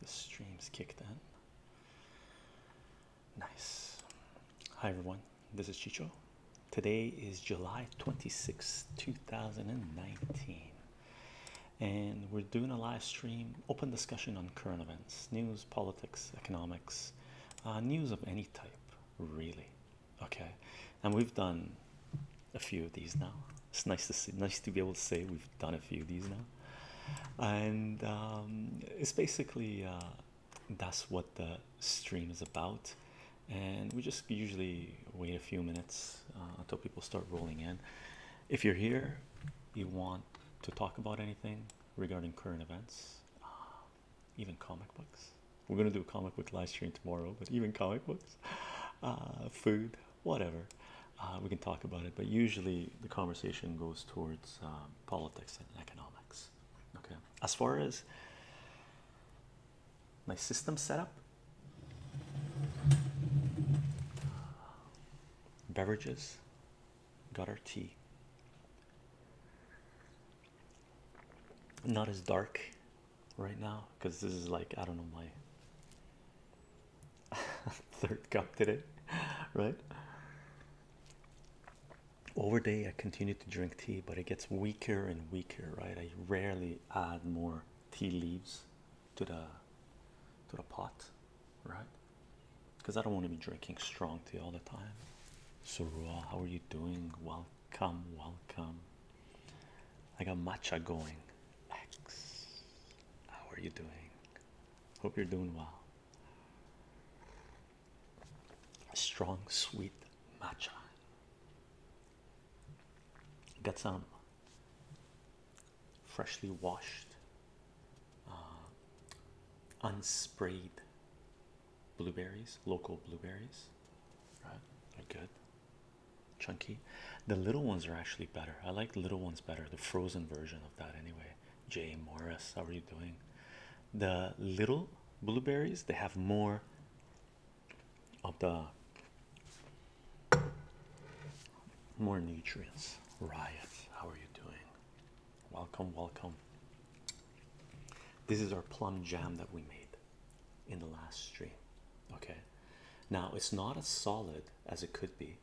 The stream's kicked in. Nice. Hi everyone, this is Chicho. Today is July 26, 2019. And we're doing a live stream, open discussion on current events, news, politics, economics, uh, news of any type, really. Okay. And we've done a few of these now. It's nice to see, nice to be able to say we've done a few of these now, and um, it's basically uh, that's what the stream is about. And we just usually wait a few minutes uh, until people start rolling in. If you're here, you want to talk about anything regarding current events, uh, even comic books. We're gonna do a comic book live stream tomorrow, but even comic books, food, whatever. Uh, we can talk about it, but usually the conversation goes towards um, politics and economics. Okay, as far as my system setup, beverages, got our tea. Not as dark right now because this is like I don't know my Third cup today, right? Over day, I continue to drink tea, but it gets weaker and weaker, right? I rarely add more tea leaves to the to the pot, right? Because I don't want to be drinking strong tea all the time. So, Rua, how are you doing? Welcome, welcome. I got matcha going. X, how are you doing? Hope you're doing well. Strong, sweet matcha. Got some freshly washed, uh, unsprayed blueberries, local blueberries. Right, they're good, chunky. The little ones are actually better. I like little ones better, the frozen version anyway. Jay Morris, how are you doing? The little blueberries they have more of the more nutrients. Riot, how are you doing? Welcome, welcome. This is our plum jam that we made in the last stream. Okay, now it's not as solid as it could be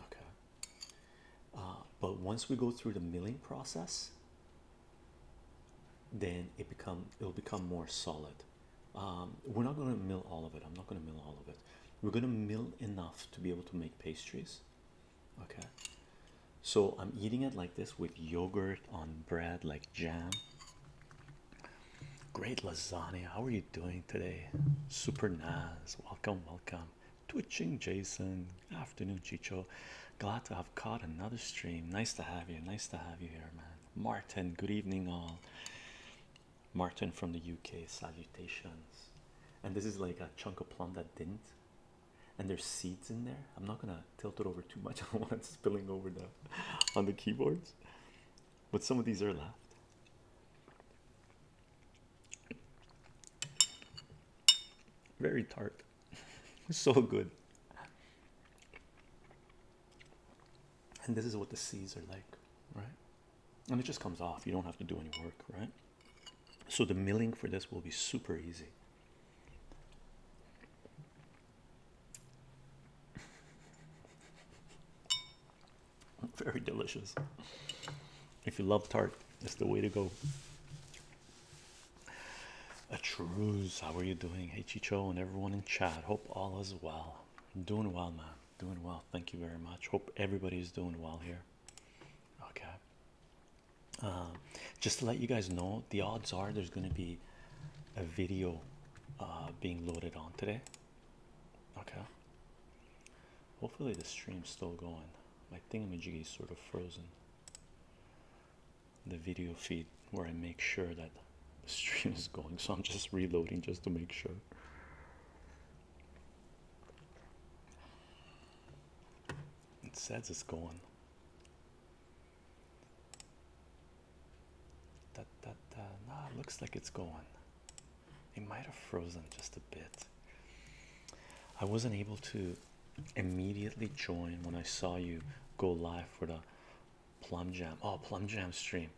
Okay. Uh, but once we go through the milling process, then it become it'll become more solid. Um, we're not going to mill all of it. I'm not going to mill all of it. We're going to mill enough to be able to make pastries. Okay. So I'm eating it like this with yogurt on bread, like jam. Great lasagna. How are you doing today? Super Naz. Welcome, welcome. Twitching Jason, afternoon Chicho. Glad to have caught another stream. Nice to have you. Nice to have you here, man. Martin, good evening, all. Martin from the UK, salutations. And this is like a chunk of plum that didn't. And there's seeds in there. I'm not gonna tilt it over too much. I don't want it spilling over the on the keyboards. But some of these are left. Very tart. so good. And this is what the seeds are like, right? And it just comes off. You don't have to do any work, right? So the milling for this will be super easy. Very delicious. If you love tart, it's the way to go. A truce, how are you doing? Hey Chicho and everyone in chat. Hope all is well. Doing well, man. Doing well. Thank you very much. Hope everybody is doing well here. Okay. Uh, just to let you guys know, the odds are there's going to be a video uh, being loaded on today. Okay. Hopefully, the stream's still going. My thingamajig is sort of frozen. The video feed where I make sure that the stream is going, so I'm just reloading just to make sure. It says it's going. Da, da, da. looks like it's going. It might have frozen just a bit. I wasn't able to immediately join when I saw you go live for the plum jam. Oh, plum jam stream.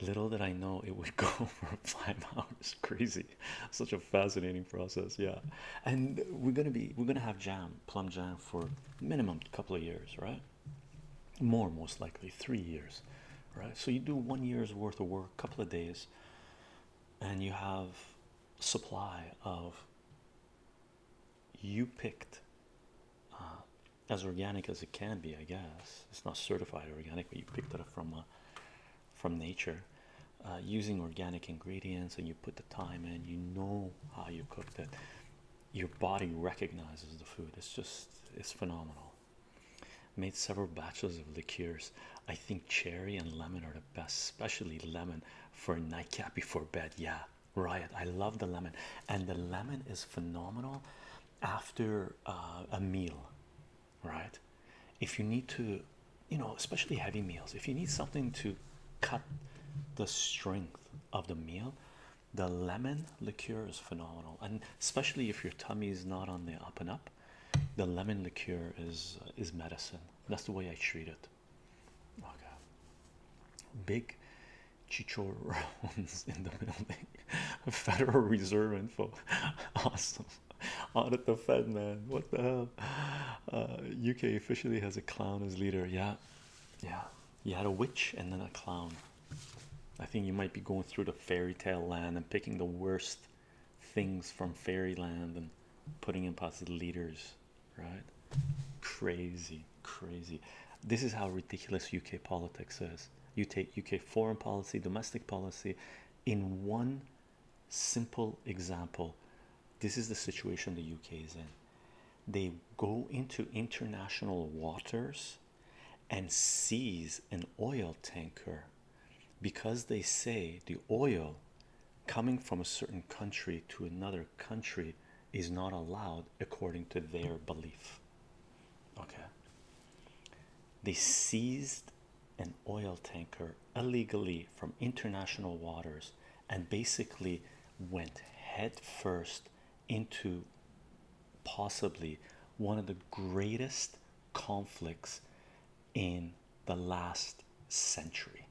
Little did I know it would go for five hours. Crazy. Such a fascinating process. Yeah. And we're gonna be we're gonna have jam, plum jam for minimum couple of years, right? More most likely three years. Right? So you do one year's worth of work, couple of days, and you have supply of you picked uh, as organic as it can be, I guess it's not certified organic, but you picked it up from uh, from nature uh, using organic ingredients, and you put the time in. You know how you cooked it. Your body recognizes the food. It's just it's phenomenal. Made several batches of liqueurs. I think cherry and lemon are the best, especially lemon for a nightcap before bed. Yeah, riot. I love the lemon, and the lemon is phenomenal after uh, a meal, right? If you need to, you know, especially heavy meals, if you need something to cut the strength of the meal, the lemon liqueur is phenomenal, and especially if your tummy is not on the up and up the lemon liqueur is uh, is medicine that's the way i treat it okay big chichorons in the building federal reserve info awesome audit the fed man what the hell uk uh, officially has a clown as leader yeah yeah you had a witch and then a clown i think you might be going through the fairy tale land and picking the worst things from fairyland and putting in positive leaders, right? Crazy, crazy. This is how ridiculous UK politics is. You take UK foreign policy, domestic policy in one simple example. This is the situation the UK is in. They go into international waters and seize an oil tanker because they say the oil coming from a certain country to another country is not allowed according to their belief. Okay. They seized an oil tanker illegally from international waters and basically went head first into possibly one of the greatest conflicts in the last century.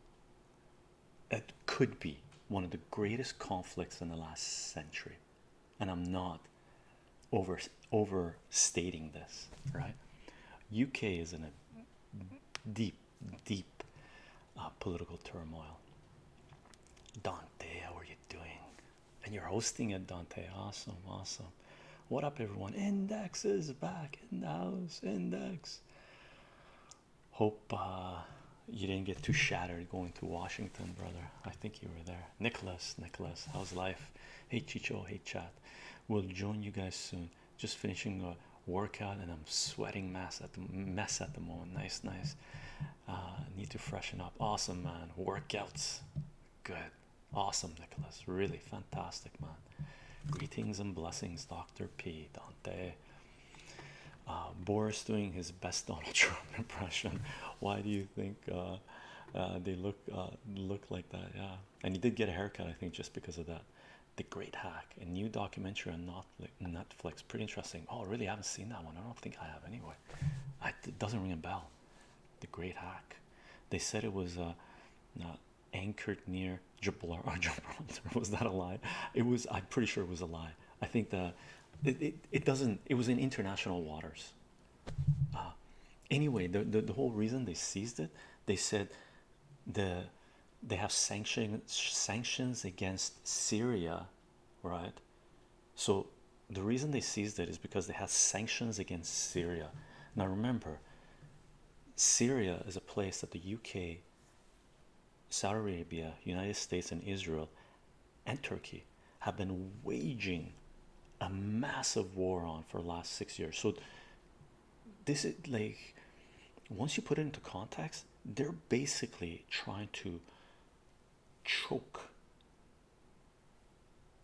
It could be one of the greatest conflicts in the last century, and I'm not over overstating this, right? UK is in a deep, deep uh, political turmoil. Dante, how are you doing? And you're hosting it, Dante. Awesome, awesome. What up, everyone? Index is back in the house. Index. Hope uh, you didn't get too shattered going to Washington, brother. I think you were there. Nicholas, Nicholas, how's life? Hey, Chicho, hey, chat. We'll join you guys soon. Just finishing a workout, and I'm sweating mass at the mess at the moment. Nice, nice. Uh, need to freshen up. Awesome, man. Workouts, good. Awesome, Nicholas. Really fantastic, man. Greetings and blessings, Dr. P. Dante. Uh, Boris doing his best Donald Trump impression. Why do you think uh, uh, they look look like that? Yeah, and he did get a haircut, I think, just because of that. The Great Hack, a new documentary on Netflix. Pretty interesting. Oh, really? I haven't seen that one. I don't think I have anyway. it doesn't ring a bell. The Great Hack. They said it was uh, not anchored near Gibraltar. Oh, Gibraltar was that a lie? It was. I'm pretty sure it was a lie. I think the it, it, doesn't. It was in international waters. Uh, anyway, the, the the whole reason they seized it, they said the they have sanction sanctions against Syria, right? So the reason they seized it is because they had sanctions against Syria. Now remember, Syria is a place that the UK, Saudi Arabia, United States, and Israel and Turkey have been waging a massive war on for the last six years. So, this is like once you put it into context, they're basically trying to choke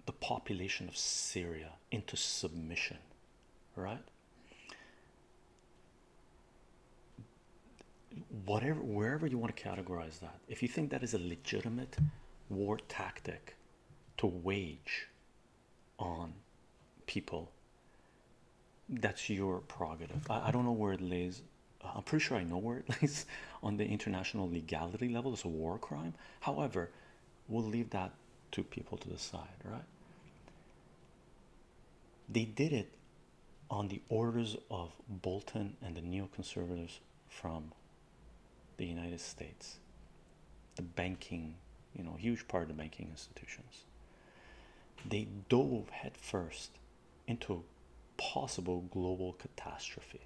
the population of Syria into submission right? Whatever, wherever you want to categorize that, if you think that is a legitimate war tactic to wage on people, that's your prerogative. I, don't know where it lays. I'm pretty sure I know where it lays on the international legality level. It's a war crime. However, We'll leave that to people to decide, right? They did it on the orders of Bolton and the neoconservatives from the United States, the banking, you know, huge part of the banking institutions. They dove headfirst into possible global catastrophe,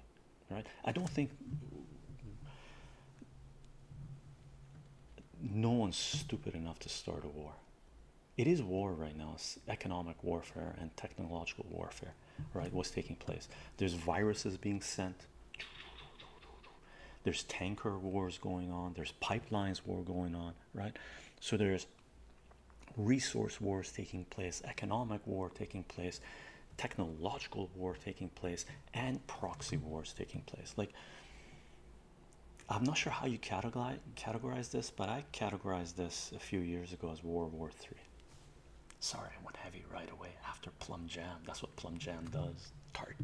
right? I don't think no one's stupid enough to start a war. It is war right now, it's economic warfare and technological warfare, right? What's taking place? There's viruses being sent, there's tanker wars going on, there's pipelines war going on, right? So there's resource wars taking place, economic war taking place, technological war taking place, and proxy wars taking place. Like I'm not sure how you categorize categorize this, but I categorized this a few years ago as World War Three. Sorry, I went heavy right away after Plum Jam. That's what Plum Jam does. Tart.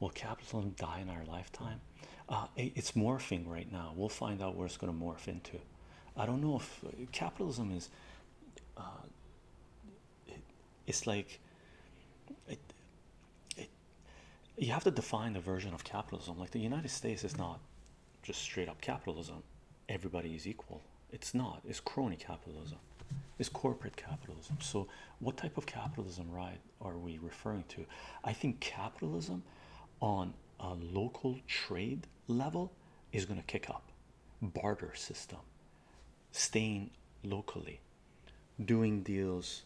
Will capitalism die in our lifetime? Uh, it's morphing right now. We'll find out where it's going to morph into. I don't know if uh, capitalism is uh, it's like it, it, you have to define the version of capitalism. Like the United States is not just straight up capitalism. Everybody is equal. It's not. It's crony capitalism. It's corporate capitalism. So what type of capitalism, right, are we referring to? I think capitalism on a local trade level is going to kick up. Barter system, staying locally, doing deals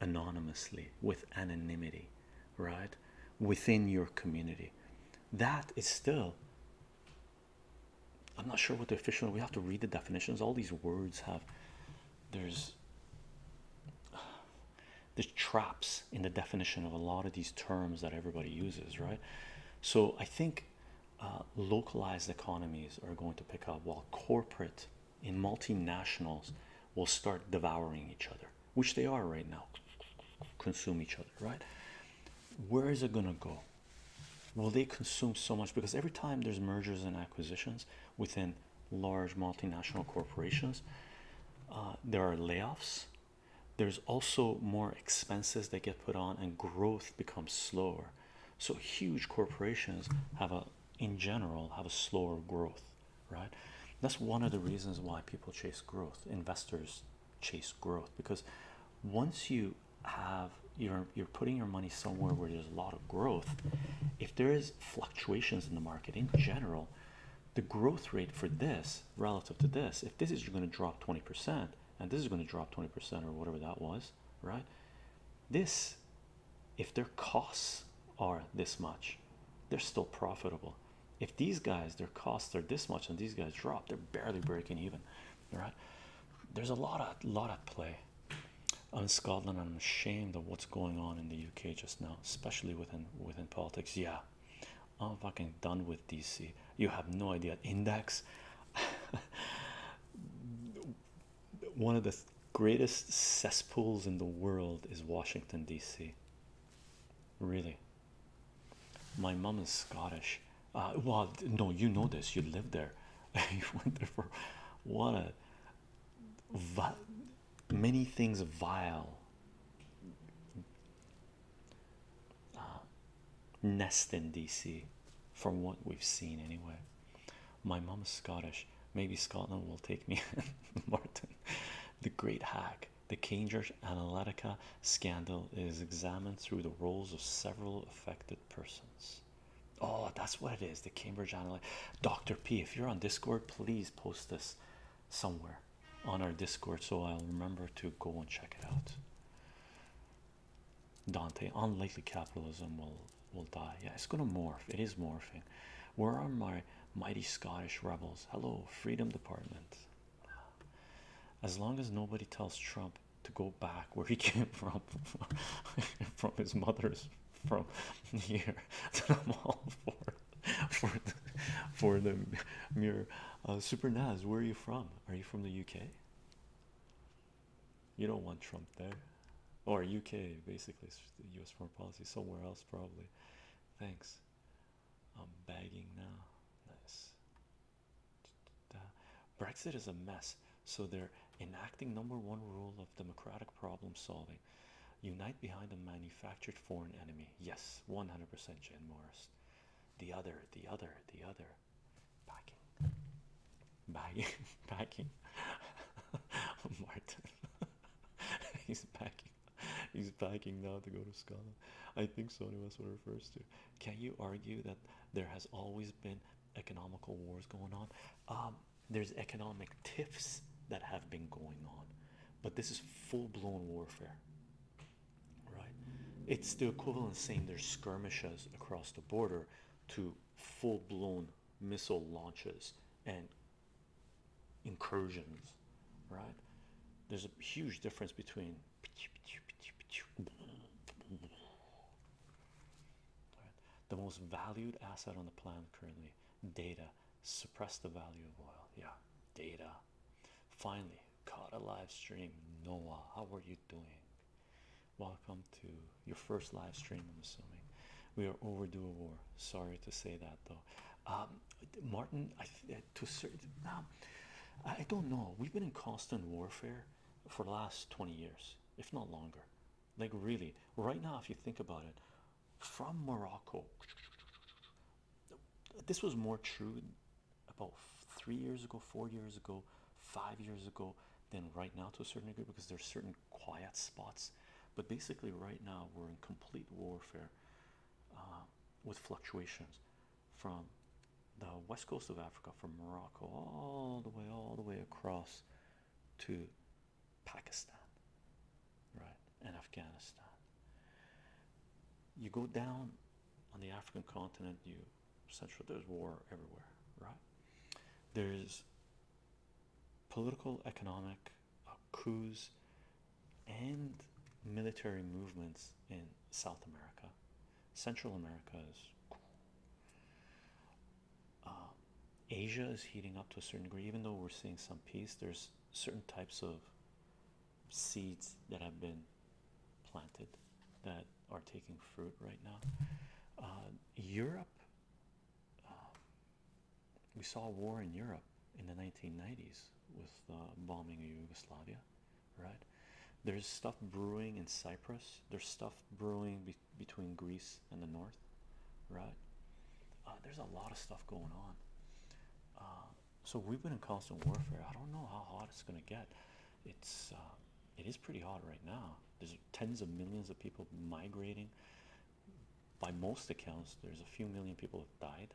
anonymously with anonymity, right? Within your community. That is still, I'm not sure what the official, we have to read the definitions. All these words have, there's, there's traps in the definition of a lot of these terms that everybody uses, right? So I think uh, localized economies are going to pick up while corporate and multinationals will start devouring each other, which they are right now, consume each other, right? Where is it going to go? Will they consume so much? Because every time there's mergers and acquisitions within large multinational corporations, uh, there are layoffs. There's also more expenses that get put on, and growth becomes slower so huge corporations have a in general have a slower growth right that's one of the reasons why people chase growth investors chase growth because once you have you're you're putting your money somewhere where there's a lot of growth if there is fluctuations in the market in general the growth rate for this relative to this if this is going to drop 20% and this is going to drop 20% or whatever that was right? This, if their costs are this much, they're still profitable. If these guys, their costs are this much, and these guys drop, they're barely breaking even, right? There's a lot of lot at play on Scotland. I'm ashamed of what's going on in the UK just now, especially within within politics. Yeah, I'm fucking done with DC. You have no idea. Index. one of the greatest cesspools in the world is Washington, D.C. Really, my mom is Scottish. Uh, well, no, you know this, you lived there, you went there for what a many things vile uh, nest in DC from what we've seen anyway. My mom is Scottish. Maybe Scotland will take me Martin, the great hack. The Cambridge Analytica scandal is examined through the roles of several affected persons. Oh, that's what it is. The Cambridge Analytica. Dr. P, if you're on Discord, please post this somewhere on our Discord so I'll remember to go and check it out. Dante, unlikely capitalism will will die. Yeah, it's gonna morph. It is morphing. Where are my mighty Scottish rebels? Hello, Freedom Department. As long as nobody tells Trump to go back where he came from, from his mother's, from here, I'm all for for the, for the mere uh, super Naz. Where are you from? Are you from the UK? You don't want Trump there, or UK basically, US foreign policy somewhere else, probably. Thanks. I'm bagging now. Nice. Brexit is a mess, so they're enacting number one rule of democratic problem solving unite behind a manufactured foreign enemy. Yes, 100% Jen Morris. The other, the other, the other. Packing. Bagging, backing, Martin. he's backing. He's backing now to go to Scotland. I think Sony was what it refers to. Can you argue that there has always been economical wars going on? Um, there's economic tiffs that have been going on, but this is full-blown warfare. Right? It's the equivalent saying there's skirmishes across the border to full-blown missile launches and incursions, right? There's a huge difference between the most valued asset on the planet currently data suppress the value of oil. Yeah, data finally caught a live stream. Noah, how are you doing? Welcome to your first live stream. I'm assuming we are overdue a war. Sorry to say that though. Um, Martin, I uh, to certain um, I don't know. We've been in constant warfare for the last 20 years, if not longer. Like, really, right now, if you think about it, from Morocco, this was more true about three years ago, four years ago, five years ago than right now to a certain degree because there's certain quiet spots but basically right now we're in complete warfare uh, with fluctuations from the west coast of Africa from Morocco all the way all the way across to Pakistan right and Afghanistan you go down on the African continent you central there's war everywhere right there's political, economic uh, coups, and military movements in South America. Central America is uh, Asia is heating up to a certain degree, even though we're seeing some peace. There's certain types of seeds that have been planted that are taking fruit right now. Uh, Europe um, we saw war in Europe in the 1990s with uh, bombing of Yugoslavia, right? There's stuff brewing in Cyprus. There's stuff brewing between Greece and the north, right? Uh, there's a lot of stuff going on. Uh, so we've been in constant warfare. I don't know how hot it's gonna get. It's uh, it is pretty hot right now. There's tens of millions of people migrating. By most accounts, there's a few million people have died.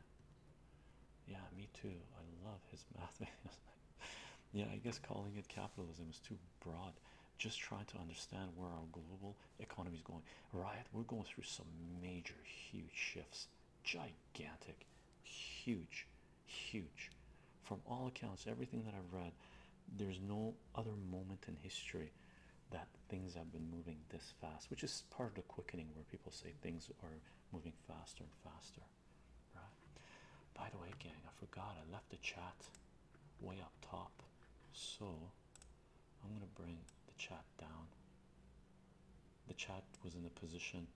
Yeah, me too. I love his math yeah, I guess calling it capitalism is too broad. Just trying to understand where our global economy is going. Right, we're going through some major, huge shifts. Gigantic, huge, huge. From all accounts, everything that I've read, there's no other moment in history that things have been moving this fast, which is part of the quickening where people say things are moving faster and faster, right? By the way, gang, I forgot I left the chat way up top, so I'm gonna bring the chat down. The chat was in the position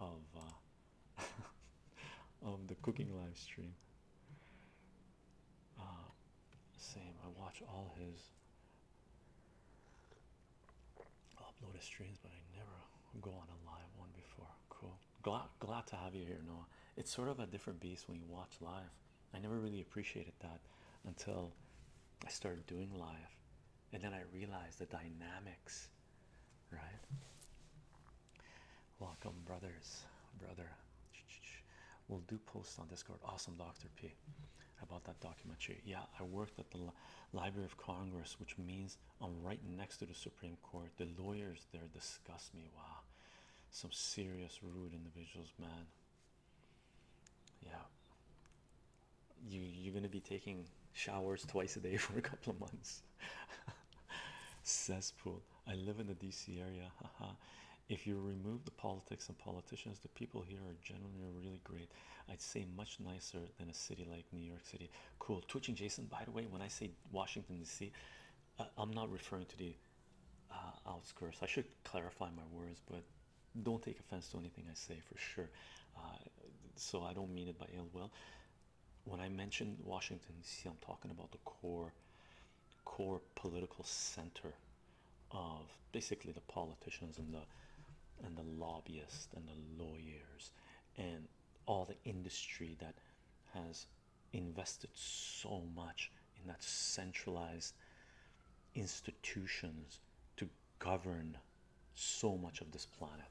of uh, of the cooking live stream. Ah, same. I watch all his uploaded streams, but I never go on a live one before. Cool. Glad glad to have you here, Noah. It's sort of a different beast when you watch live. I never really appreciated that until I started doing live, and then I realized the dynamics. Right. Welcome, brothers, brother. We'll do posts on Discord. Awesome, Dr. P, about that documentary. Yeah, I worked at the Library of Congress, which means I'm right next to the Supreme Court. The lawyers there disgust me. Wow, some serious, rude individuals, man. Yeah, you you're gonna be taking showers twice a day for a couple of months. Cesspool. I live in the DC area. If you remove the politics and politicians, the people here are generally really great. I'd say much nicer than a city like New York City. Cool. Twitching Jason, by the way, when I say Washington, D.C., uh, I'm not referring to the uh, outskirts. I should clarify my words, but don't take offense to anything I say for sure. Uh, so I don't mean it by ill will. When I mention Washington, D.C., I'm talking about the core core political center of basically the politicians and the and the lobbyists and the lawyers and all the industry that has invested so much in that centralized institutions to govern so much of this planet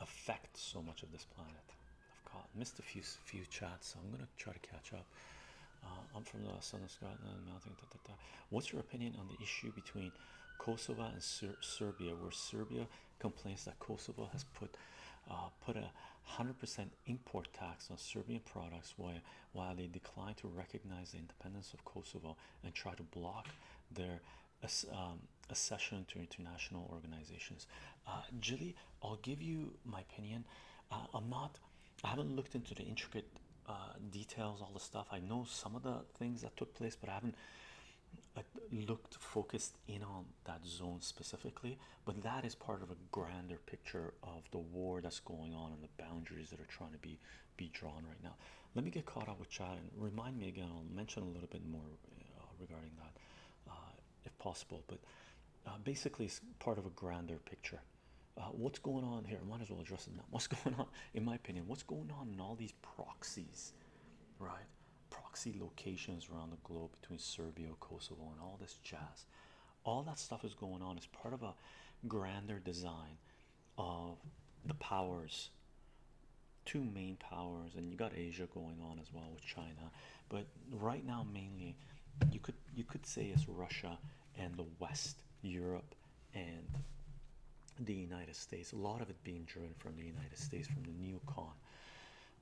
affect so much of this planet i've caught missed a few few chats so i'm gonna try to catch up uh, I'm from the south of Scotland, What's your opinion on the issue between Kosovo and Serbia, where Serbia complains that Kosovo has put uh, put a hundred percent import tax on Serbian products, while while they decline to recognize the independence of Kosovo and try to block their um, accession to international organizations? Uh, I'll give you my opinion. Uh, I'm not I haven't looked into the intricate uh, details all the stuff I know some of the things that took place but I haven't uh, looked focused in on that zone specifically but that is part of a grander picture of the war that's going on and the boundaries that are trying to be be drawn right now let me get caught up with Chad and remind me again I'll mention a little bit more regarding that if possible but basically it's part of a grander picture uh, what's going on here? I might as well address it now. What's going on, in my opinion, what's going on in all these proxies, right? Proxy locations around the globe between Serbia, Kosovo, and all this jazz. All that stuff is going on as part of a grander design of the powers, two main powers, and you got Asia going on as well with China. But right now, mainly, you could you could say it's Russia and the West, Europe, and the United States. A lot of it being driven from the United States, from the neocon,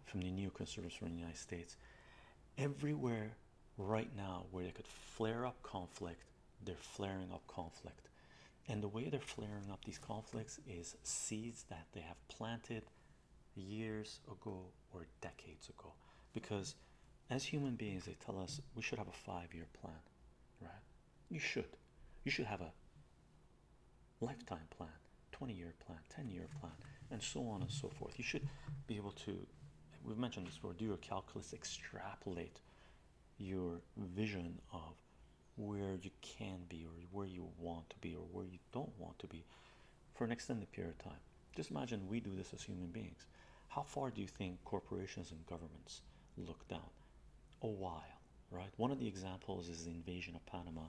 from the neoconservatives from the United States. Everywhere right now where they could flare up conflict, they're flaring up conflict. And the way they're flaring up these conflicts is seeds that they have planted years ago or decades ago because as human beings they tell us we should have a five-year plan right you should you should have a lifetime plan 20-year plan 10-year plan and so on and so forth you should be able to we've mentioned this before do your calculus extrapolate your vision of where you can be or where you want to be or where you don't want to be for an extended period of time. Just imagine we do this as human beings. How far do you think corporations and governments look down? A while, right? One of the examples is the invasion of Panama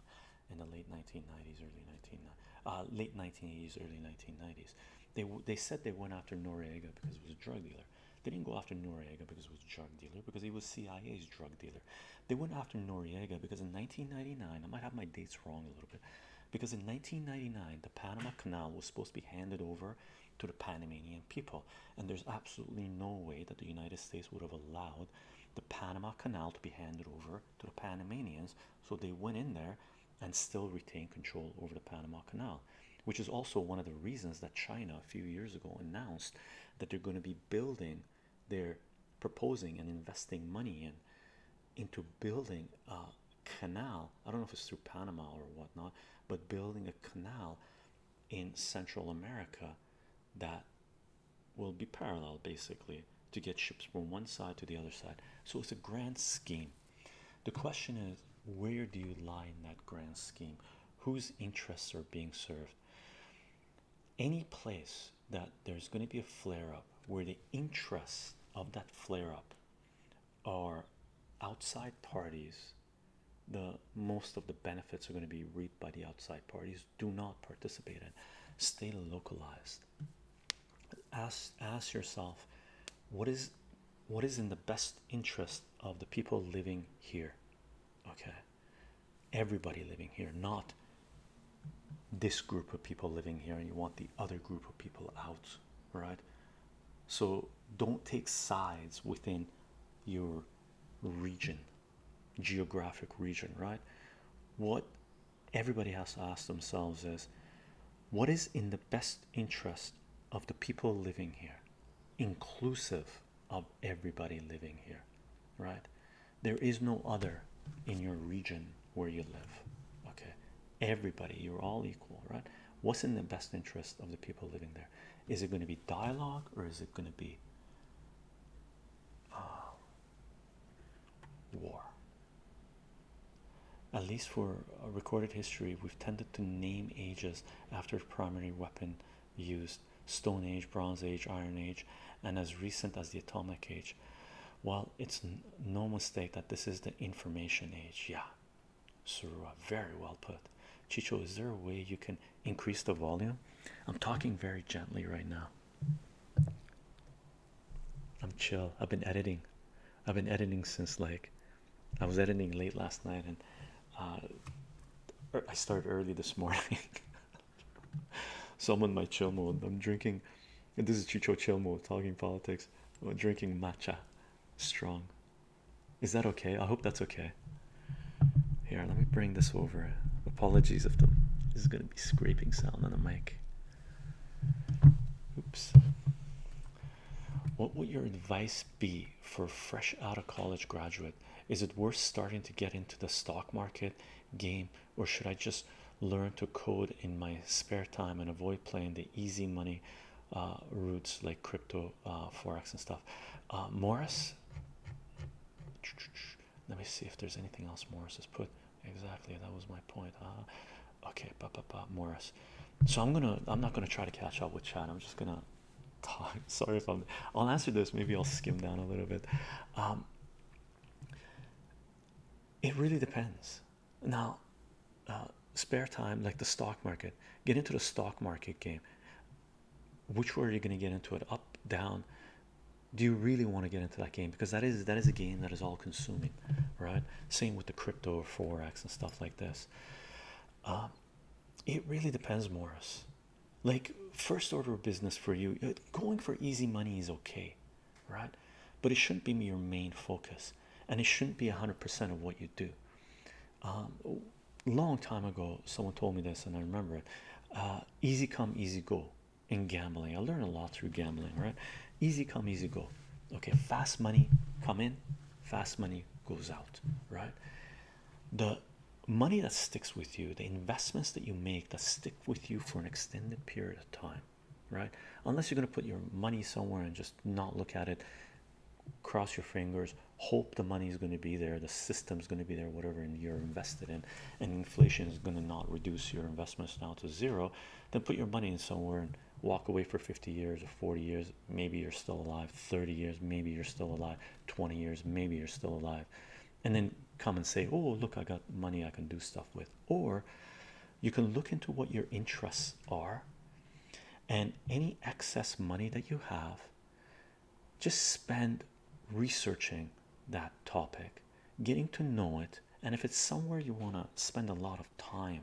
in the late 1990s, early 19 uh, late 1980s, early 1990s. They they said they went after Noriega because he was a drug dealer. They didn't go after Noriega because he was a drug dealer because he was CIA's drug dealer. They went after Noriega because in 1999, I might have my dates wrong a little bit because in 1999 the Panama Canal was supposed to be handed over to the Panamanian people, and there's absolutely no way that the United States would have allowed the Panama Canal to be handed over to the Panamanians, so they went in there and still retain control over the Panama Canal, which is also one of the reasons that China a few years ago announced that they're going to be building, they're proposing and investing money in into building a canal. I don't know if it's through Panama or whatnot, but building a canal in Central America that will be parallel basically to get ships from one side to the other side. So it's a grand scheme. The question is, where do you lie in that grand scheme? Whose interests are being served? Any place that there's going to be a flare up where the interests of that flare up are outside parties the most of the benefits are going to be reaped by the outside parties do not participate in stay localized ask ask yourself what is what is in the best interest of the people living here okay everybody living here not this group of people living here and you want the other group of people out right so don't take sides within your region, geographic region, right? What everybody has to ask themselves is what is in the best interest of the people living here, inclusive of everybody living here, right? There is no other in your region where you live okay everybody you're all equal right what's in the best interest of the people living there is it going to be dialogue or is it going to be uh, war at least for recorded history we've tended to name ages after primary weapon used stone age bronze age iron age and as recent as the atomic age well it's no mistake that this is the information age yeah Sirua, very well put. Chicho, is there a way you can increase the volume? I'm talking very gently right now. I'm chill. I've been editing. I've been editing since like I was editing late last night and uh, er, I started early this morning. Someone my chill mode. I'm drinking. This is Chicho chill mode talking politics. I'm drinking matcha strong. Is that okay? I hope that's okay. Here, let me bring this over. Apologies if the is gonna be scraping sound on the mic. Oops. What would your advice be for fresh out of college graduate? Is it worth starting to get into the stock market game, or should I just learn to code in my spare time and avoid playing the easy money uh, routes like crypto, uh, forex, and stuff. Uh, Morris, let me see if there's anything else Morris has put. Exactly, that was my point. okay, pa pa pa Morris. So I'm gonna, I'm not gonna try to catch up with Chad. I'm just gonna talk. Sorry if I'm. I'll answer this. Maybe I'll skim down a little bit. Um, it really depends now uh, spare time like the stock market get into the stock market game which way are you going to get into it up down do you really want to get into that game because that is that is a game that is all consuming right same with the crypto or forex and stuff like this um, it really depends Morris like first order of business for you going for easy money is okay right but it shouldn't be your main focus and it shouldn't be 100% of what you do. Um, long time ago, someone told me this, and I remember it. Uh, easy come, easy go in gambling. I learned a lot through gambling, right? Easy come, easy go. Okay, fast money come in, fast money goes out, right? The money that sticks with you, the investments that you make that stick with you for an extended period of time, right? Unless you're going to put your money somewhere and just not look at it cross your fingers, hope the money is going to be there, the system is going to be there, whatever, and you're invested in, and inflation is going to not reduce your investments now to zero, then put your money in somewhere and walk away for 50 years or 40 years. Maybe you're still alive, 30 years, maybe you're still alive, 20 years, maybe you're still alive, and then come and say, Oh, look, I got money I can do stuff with, or you can look into what your interests are and any excess money that you have just spend researching that topic getting to know it and if it's somewhere you want to spend a lot of time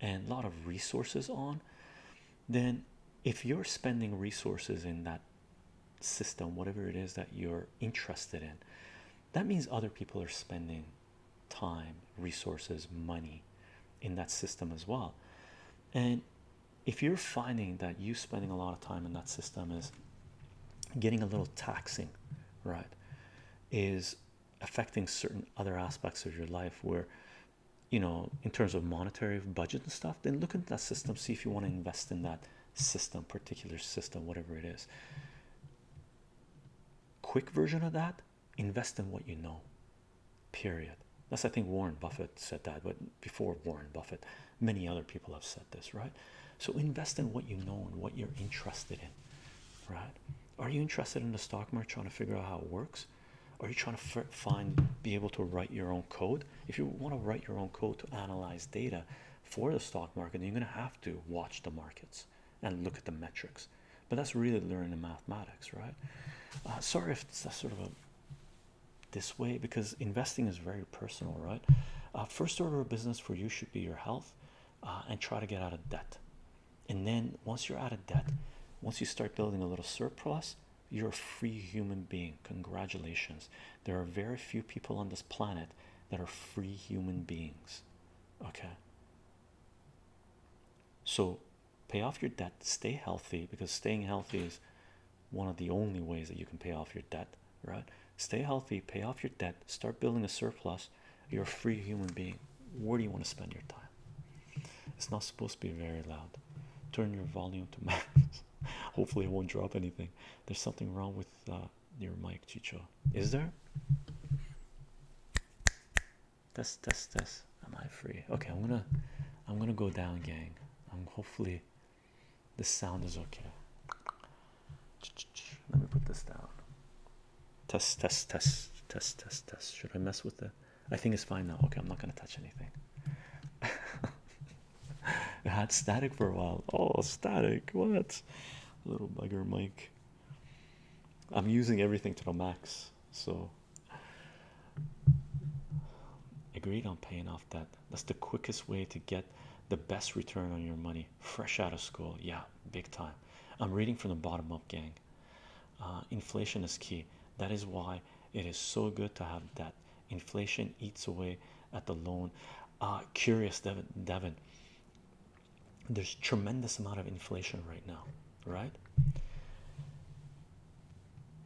and a lot of resources on then if you're spending resources in that system whatever it is that you're interested in that means other people are spending time, resources, money in that system as well. And if you're finding that you spending a lot of time in that system is getting a little taxing, right, is affecting certain other aspects of your life where you know in terms of monetary budget and stuff then look at that system see if you want to invest in that system particular system whatever it is quick version of that invest in what you know period that's i think warren buffett said that but before warren buffett many other people have said this right so invest in what you know and what you're interested in right are you interested in the stock market trying to figure out how it works are you trying to find be able to write your own code if you want to write your own code to analyze data for the stock market you're going to have to watch the markets and look at the metrics. But that's really learning the mathematics, right? Uh, sorry if it's sort of this way because investing is very personal, right? Uh, first order of business for you should be your health uh, and try to get out of debt. And then once you're out of debt, once you start building a little surplus, you're a free human being. Congratulations. There are very few people on this planet that are free human beings. Okay. So pay off your debt, stay healthy because staying healthy is one of the only ways that you can pay off your debt, right? Stay healthy, pay off your debt, start building a surplus. You're a free human being. Where do you want to spend your time? It's not supposed to be very loud. Turn your volume to max. Hopefully, it won't drop anything. There's something wrong with uh, your mic, Chicho. Is there? Test, test, test. Am I free? Okay, I'm gonna, I'm gonna go down, gang. I'm um, hopefully, the sound is okay. Let me put this down. Test, test, test, test, test, test. Should I mess with it? I think it's fine now. Okay, I'm not gonna touch anything. it had static for a while. Oh, static! What? Little bugger, Mike. I'm using everything to the max, so Agreed on paying off that. That's the quickest way to get the best return on your money. Fresh out of school, yeah, big time. I'm reading from the bottom up, gang. Uh, inflation is key. That is why it is so good to have that. Inflation eats away at the loan. Uh, curious, Devin. Devin. There's tremendous amount of inflation right now right?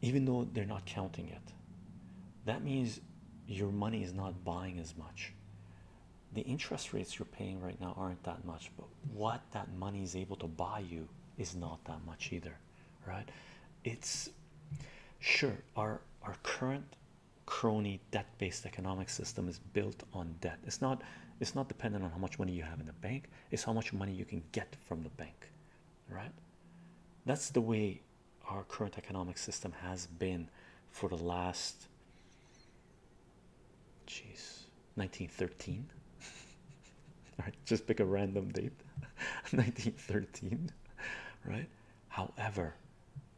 Even though they're not counting it, that means your money is not buying as much. The interest rates you're paying right now aren't that much, but what that money is able to buy you is not that much either, right? It's sure our our current crony debt-based economic system is built on debt. It's not it's not dependent on how much money you have in the bank is how much money you can get from the bank, right? That's the way our current economic system has been for the last jeez 1913 all right just pick a random date 1913 right however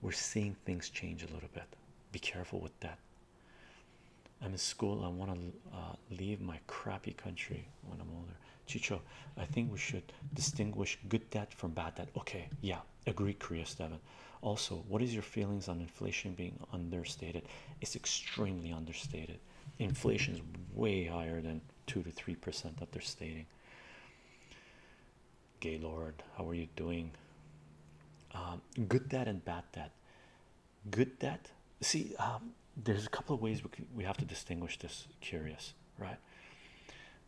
we're seeing things change a little bit be careful with that I'm in school. I want to uh, leave my crappy country when I'm older. Chicho, I think we should distinguish good debt from bad debt. Okay, yeah, agree, Korea Steven. Also, what is your feelings on inflation being understated? It's extremely understated. Inflation is way higher than two to three percent that they're stating. Gaylord, how are you doing? Um, good debt and bad debt good debt see um, there's a couple of ways we, we have to distinguish this curious right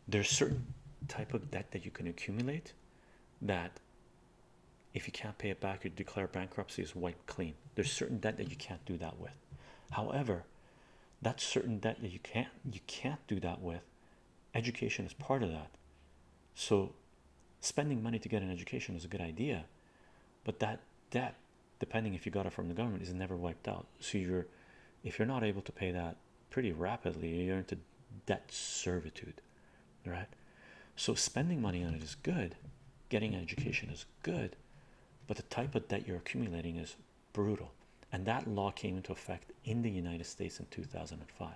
there's certain type of debt that you can accumulate that if you can't pay it back you declare bankruptcy is wiped clean there's certain debt that you can't do that with however that certain debt that you can't you can't do that with education is part of that so spending money to get an education is a good idea but that debt depending if you got it from the government, is never wiped out. So you're, if you're not able to pay that pretty rapidly, you're into debt servitude, right? So spending money on it is good, getting an education is good, but the type of debt you're accumulating is brutal. And that law came into effect in the United States in 2005.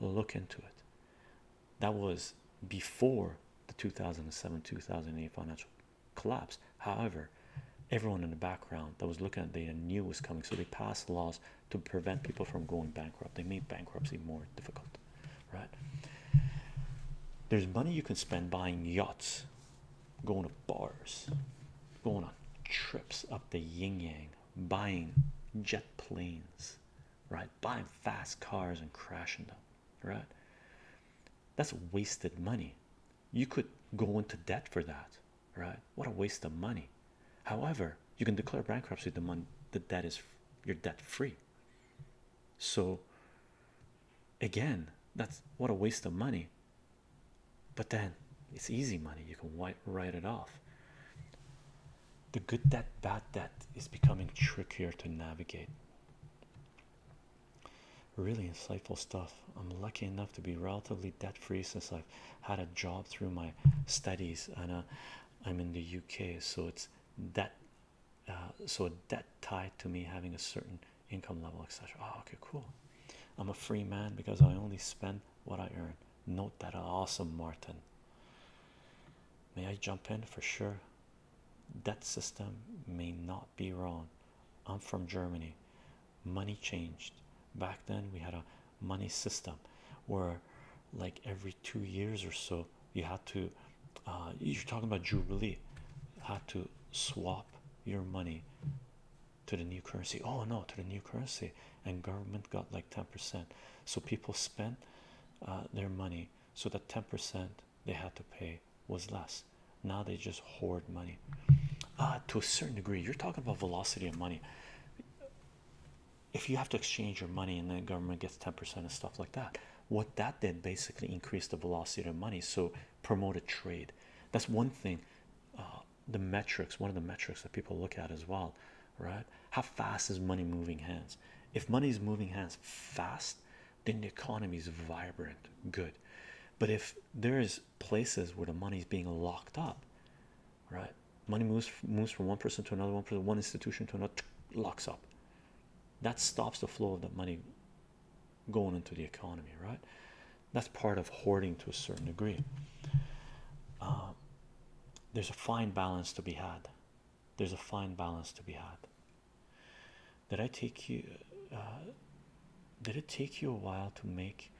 Look into it that was before the 2007 2008 financial collapse. However, everyone in the background that was looking at data knew was coming, so they passed laws to prevent people from going bankrupt. They made bankruptcy more difficult, right? There's money you can spend buying yachts, going to bars, going on trips up the yin yang, buying jet planes, right? Buying fast cars and crashing them right? That's wasted money. You could go into debt for that, right? What a waste of money. However, you can declare bankruptcy the month the debt is your debt free. So again, that's what a waste of money. But then it's easy money, you can white write it off. The good debt, bad debt is becoming trickier to navigate. Really insightful stuff. I'm lucky enough to be relatively debt free since I've had a job through my studies, and uh, I'm in the UK, so it's that. Uh, so debt tied to me having a certain income level, etc. Oh, okay, cool. I'm a free man because I only spend what I earn. Note that uh, awesome, Martin. May I jump in for sure? that system may not be wrong. I'm from Germany. Money changed back then. We had a money system where, like, every two years or so, you had to. Uh, you're talking about Jubilee, had to swap your money to the new currency. Oh no, to the new currency, and government got like 10%. So people spent uh, their money so that 10% they had to pay was less. Now they just hoard money. Uh, to a certain degree, you're talking about velocity of money. If you have to exchange your money and the government gets 10% and stuff like that, what that did basically increase the velocity of money, so promote a trade. That's one thing. Uh, the metrics, one of the metrics that people look at as well, right? How fast is money moving hands? If money is moving hands fast, then the economy is vibrant, good. But if there is places where the money is being locked up, right? Money moves moves from one person to another, one person, one institution to another, locks up. That stops the flow of that money going into the economy, right? That's part of hoarding to a certain degree. Uh, there's a fine balance to be had. There's a fine balance to be had. Did I take you? Uh, did it take you a while to make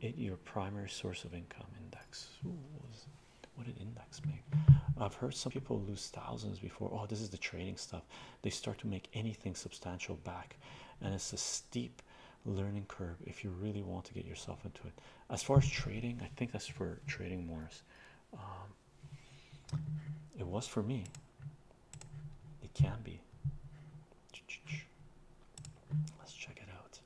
it your primary source of income? Index. what, did index make? I've heard some people lose thousands before. Oh, this is the trading stuff. They start to make anything substantial back, and it's a steep learning curve if you really want to get yourself into it. As far as trading, I think that's for trading Morris. It was for me. It can be. Let's check it out.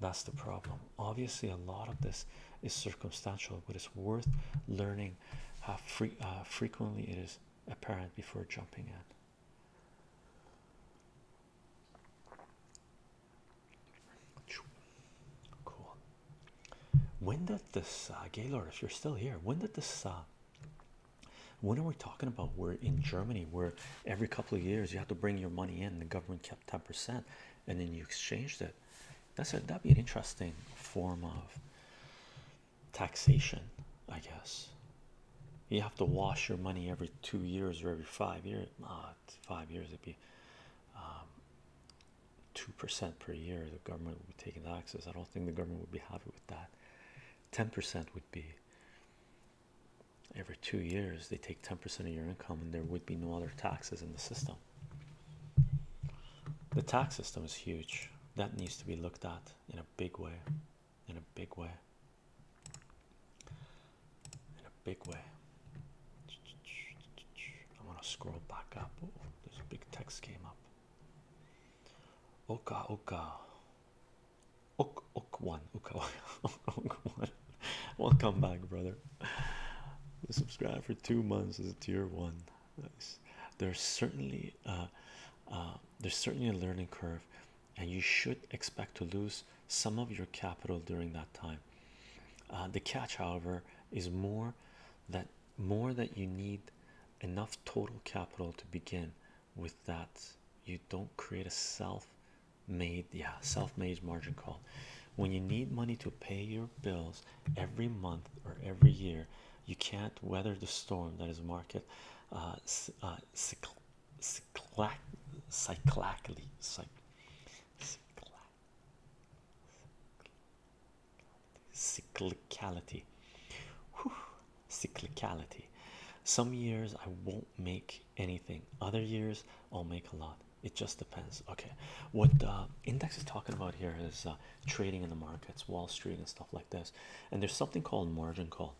That's the problem. Obviously, a lot of this is circumstantial, but it's worth learning how free, uh, frequently it is apparent before jumping in. Cool. When did this uh, Gaylord? If you're still here, when did this? when are we talking about? We're in Germany, where every couple of years you have to bring your money in. and The government kept ten percent, and then you exchanged it. That's that'd be an interesting form of taxation, I guess. You have to wash your money every two years or every five years. Not ah, five years, it'd be um, two percent per year the government would be taking taxes i don't think the government would be happy with that 10 percent would be every two years they take 10 percent of your income and there would be no other taxes in the system the tax system is huge that needs to be looked at in a big way in a big way in a big way I want to scroll back up. Oh, a big text came up. Oka Oka Ok Ok one Oka Ok one Welcome back brother subscribe for two months as a tier one nice there's certainly uh, uh, there's certainly a learning curve and you should expect to lose some of your capital during that time uh, the catch however is more that more that you need enough total capital to begin with that you don't create a self-made yeah self-made margin call when you need money to pay your bills every month or every year you can't weather the storm that is market uh, uh cyclically cyclicality cyclicality some years i won't make anything other years i'll make a lot it just depends okay what the index is talking about here is uh, trading in the markets wall street and stuff like this and there's something called margin call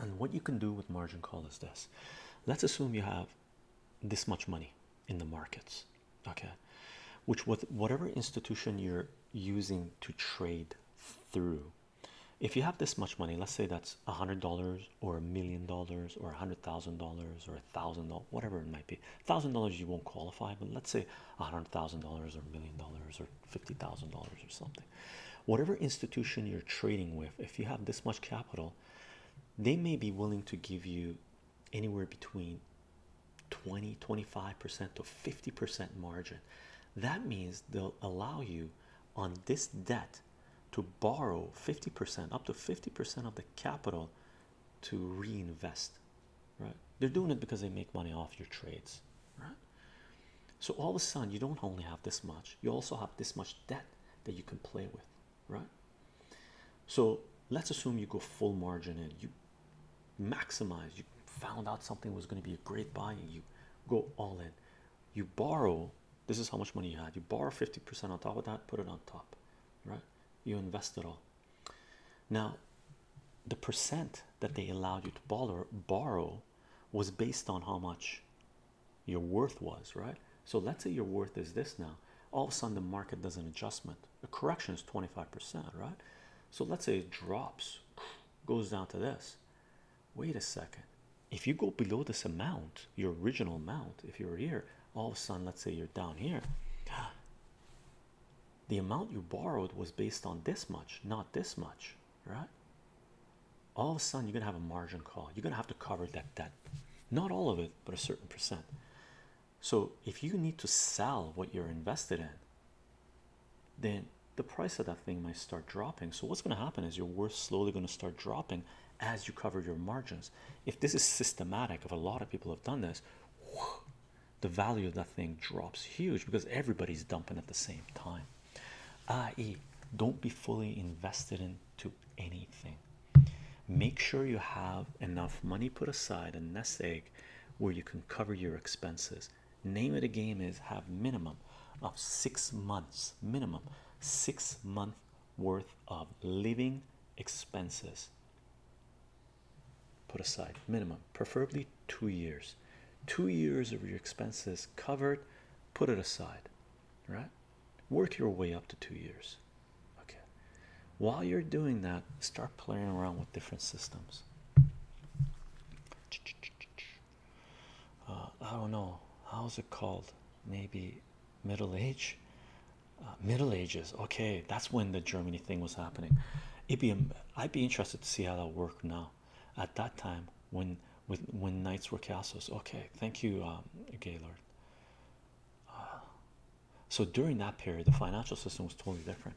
and what you can do with margin call is this let's assume you have this much money in the markets okay which with whatever institution you're using to trade through if you have this much money let's say that's a hundred dollars or a million dollars or a hundred thousand dollars or a thousand dollars whatever it might be A thousand dollars you won't qualify but let's say a hundred thousand dollars or a million dollars or fifty thousand dollars or something whatever institution you're trading with if you have this much capital they may be willing to give you anywhere between 20 25% to 50% margin that means they'll allow you on this debt to borrow 50% up to 50% of the capital to reinvest right they're doing it because they make money off your trades right so all of a sudden you don't only have this much you also have this much debt that you can play with right so let's assume you go full margin in you maximize you found out something was going to be a great buy and you go all in you borrow this is how much money you had you borrow 50% on top of that put it on top right you invest it all now the percent that they allowed you to borrow borrow was based on how much your worth was right so let's say your worth is this now all of a sudden the market does an adjustment the correction is 25%, right? So let's say it drops, goes down to this. Wait a second. If you go below this amount, your original amount, if you're here, all of a sudden, let's say you're down here. The amount you borrowed was based on this much, not this much, right? All of a sudden, you're gonna have a margin call. You're gonna have to cover that debt, not all of it, but a certain percent. So if you need to sell what you're invested in, then the price of that thing might start dropping. So, what's going to happen is your worth slowly going to start dropping as you cover your margins. If this is systematic, if a lot of people have done this, the value of that thing drops huge because everybody's dumping at the same time. I.e., don't be fully invested into anything. Make sure you have enough money put aside, a nest egg, where you can cover your expenses name of the game is have minimum of six months minimum six month worth of living expenses put aside minimum preferably two years two years of your expenses covered put it aside right work your way up to two years okay while you're doing that start playing around with different systems uh, I don't know how's it called. Maybe Middle Age, uh, Middle Ages. Okay, that's when the Germany thing was happening. It'd be I'd be interested to see how that worked now. At that time, when when knights were castles. Okay, thank you, um, Gaylord. Uh, so during that period, the financial system was totally different.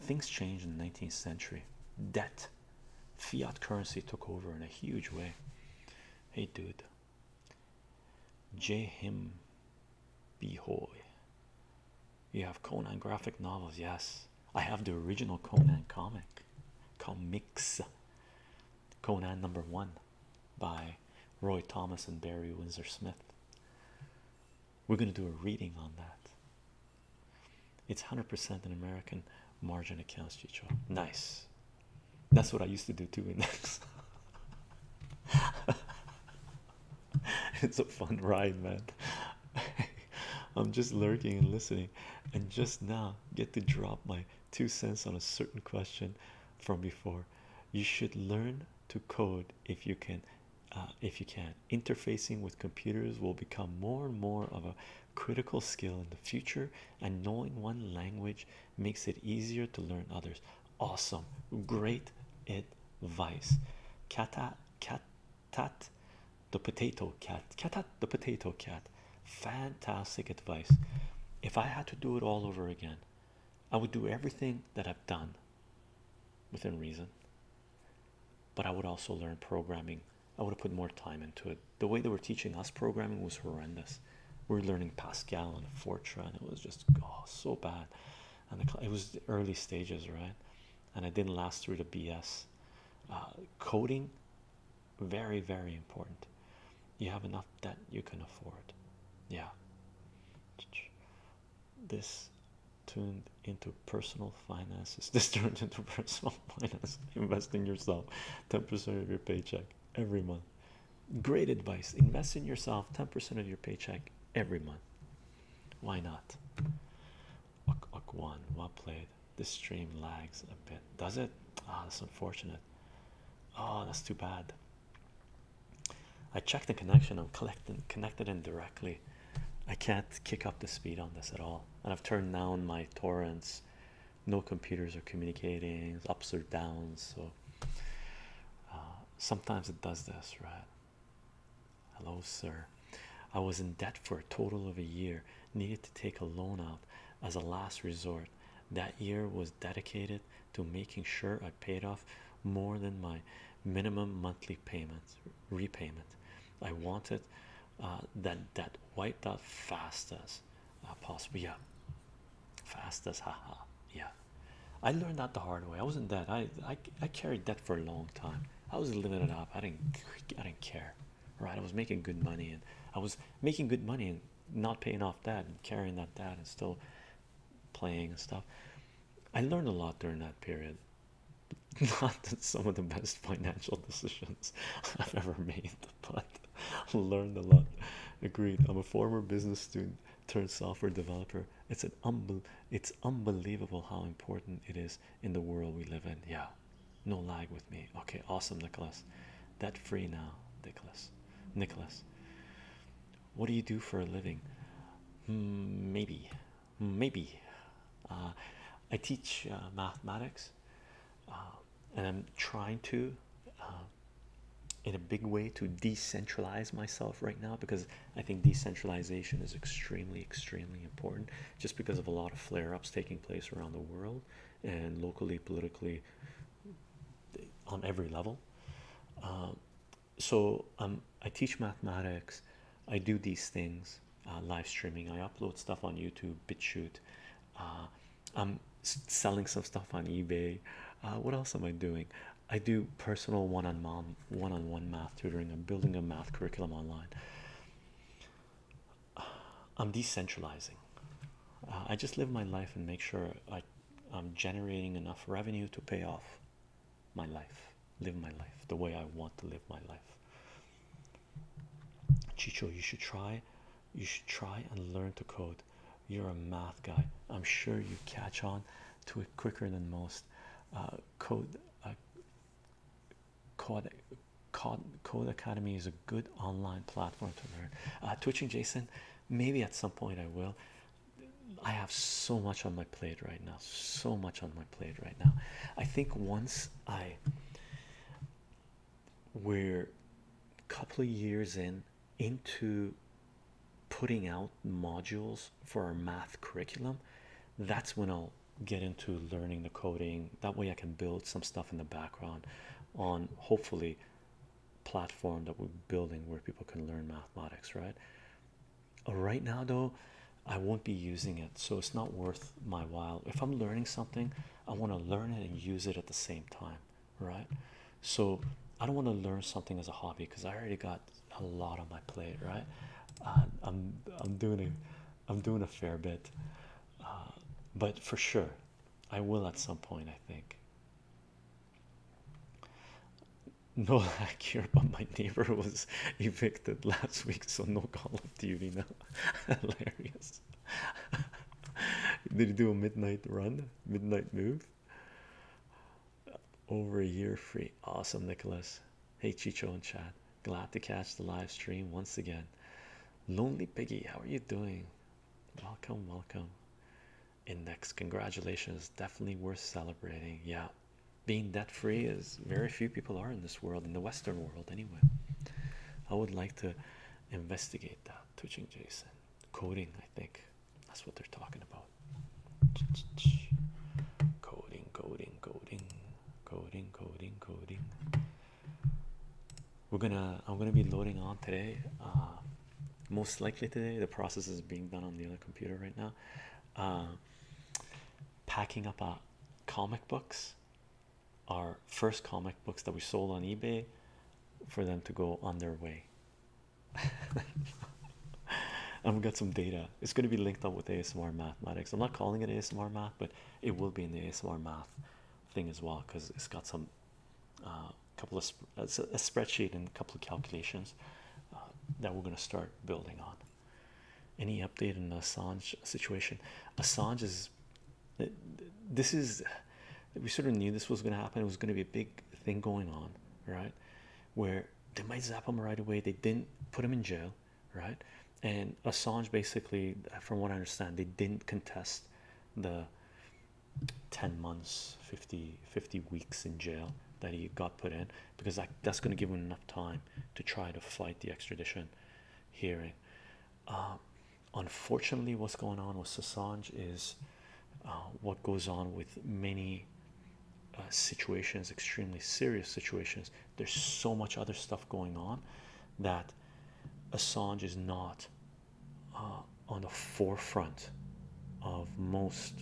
Things changed in the 19th century. Debt, fiat currency took over in a huge way. Hey, dude. J. Him You have Conan graphic novels, yes. I have the original Conan comic, comics. Conan number one by Roy Thomas and Barry Windsor Smith. We're going to do a reading on that. It's 100% an American margin accounts, Chicho. Nice. That's what I used to do too. Index. it's a fun ride, man. I'm just lurking and listening, and just now get to drop my two cents on a certain question from before. You should learn to code if you can uh, if you can. Interfacing with computers will become more and more of a critical skill in the future, and knowing one language makes it easier to learn others. Awesome, great advice. Kata, cat, the potato cat, catat, the potato cat. Fantastic advice. If I had to do it all over again, I would do everything that I've done within reason but I would also learn programming. I would have put more time into it. The way they were teaching us programming was horrendous. We were learning Pascal and Fortran. It was just oh, so bad. And it was the early stages, right? And it didn't last through the BS. Uh, coding, very, very important. You have enough that you can afford. Yeah. This Tuned into personal finances. This turned into personal finance. Investing yourself 10% of your paycheck every month. Great advice. Investing yourself 10% of your paycheck every month. Why not? Ok, ok. One, what played. This stream lags a bit. Does it? Ah, that's unfortunate. Oh, that's too bad. I checked the connection. I'm collecting connected indirectly I can't kick up the speed on this at all, and I've turned down my torrents. No computers are communicating ups or downs, so uh, sometimes it does this, right? Hello, sir. I was in debt for a total of a year, needed to take a loan out as a last resort. That year was dedicated to making sure I paid off more than my minimum monthly payment repayment. I wanted uh, that that wiped out fastest, uh, possible. Yeah, fastest. haha. Yeah, I learned that the hard way. I wasn't that. I I I carried that for a long time. I was living it up. I didn't I didn't care. Right, I was making good money and I was making good money and not paying off that and carrying that debt and still playing and stuff. I learned a lot during that period not some of the best financial decisions I've ever made, but learned a lot. Agreed. I'm a former business student turned software developer. It's an unbel it's unbelievable how important it is in the world we live in. Yeah, no lag with me. Okay, awesome, Nicholas. That free now, Nicholas. Nicholas, what do you do for a living? Hmm, maybe Mm, maybe uh, I teach uh, mathematics uh, and I'm trying to in a big way to decentralize myself right now because I think decentralization is extremely extremely important just because of a lot of flare-ups taking place around the world and locally politically on every level so um, I teach mathematics I do these things uh, live streaming. I upload stuff on YouTube, BitChute. Uh, I'm selling some stuff on eBay. Uh, what else am I doing? I do personal one-on-one, one-on-one math tutoring. I'm building a math curriculum online. I'm decentralizing. Uh, I just live my life and make sure I, I'm generating enough revenue to pay off my life live my life the way I want to live my life. Chicho, you should try, you should try and learn to code. You're a math guy. I'm sure you catch on to it quicker than most. Uh, uh, code, code, code, Academy is a good online platform to learn. Uh, Twitching Jason, maybe at some point I will. I have so much on my plate right now. So much on my plate right now. I think once I we're a couple of years in into putting out modules for our math curriculum that's when i'll get into learning the coding that way i can build some stuff in the background on hopefully platform that we're building where people can learn mathematics right right now though I won't be using it, so it's not worth my while. If I'm learning something, I want to learn it and use it at the same time, right? So I don't want to learn something as a hobby because I already got a lot on my plate, right? Uh, I'm I'm doing a I'm doing a fair bit, uh, but for sure, I will at some point. I think. No lack here, but my neighbor was evicted last week, so no Call of Duty now. hilarious did you do a midnight run midnight move over a year free awesome nicholas hey chicho and Chad, glad to catch the live stream once again lonely piggy how are you doing welcome welcome index congratulations definitely worth celebrating yeah being debt free is very few people are in this world, in the Western world, anyway. I would like to investigate that. Twitching Jason coding, I think that's what they're talking about. Coding, coding, coding, coding, coding, coding. We're gonna, I'm gonna be loading on today. Uh, most likely today, the process is being done on the other computer right now. Uh, packing up uh, comic books our first comic books that we sold on eBay for them to go on their way. I've got some data. It's going to be linked up with ASMR mathematics. I'm not calling it ASMR math, but it will be in the ASMR math thing as well because it's got some a uh, couple of sp a, spreadsheet and a couple of calculations uh, that we're going to start building on. Any update on the Assange situation? Assange is this is we sort of knew this was going to happen. It was going to be a big thing going on, right? Where they might zap him right away. They didn't put him in jail, right? And Assange basically, from what I understand, they didn't contest the 10 months 50 weeks in jail that he got put in because that, that's going to give him enough time to try to fight the extradition hearing um, unfortunately, what's going on with Assange is uh, what goes on with many uh, situations, extremely serious situations. There's so much other stuff going on that Assange is not uh, on the forefront of most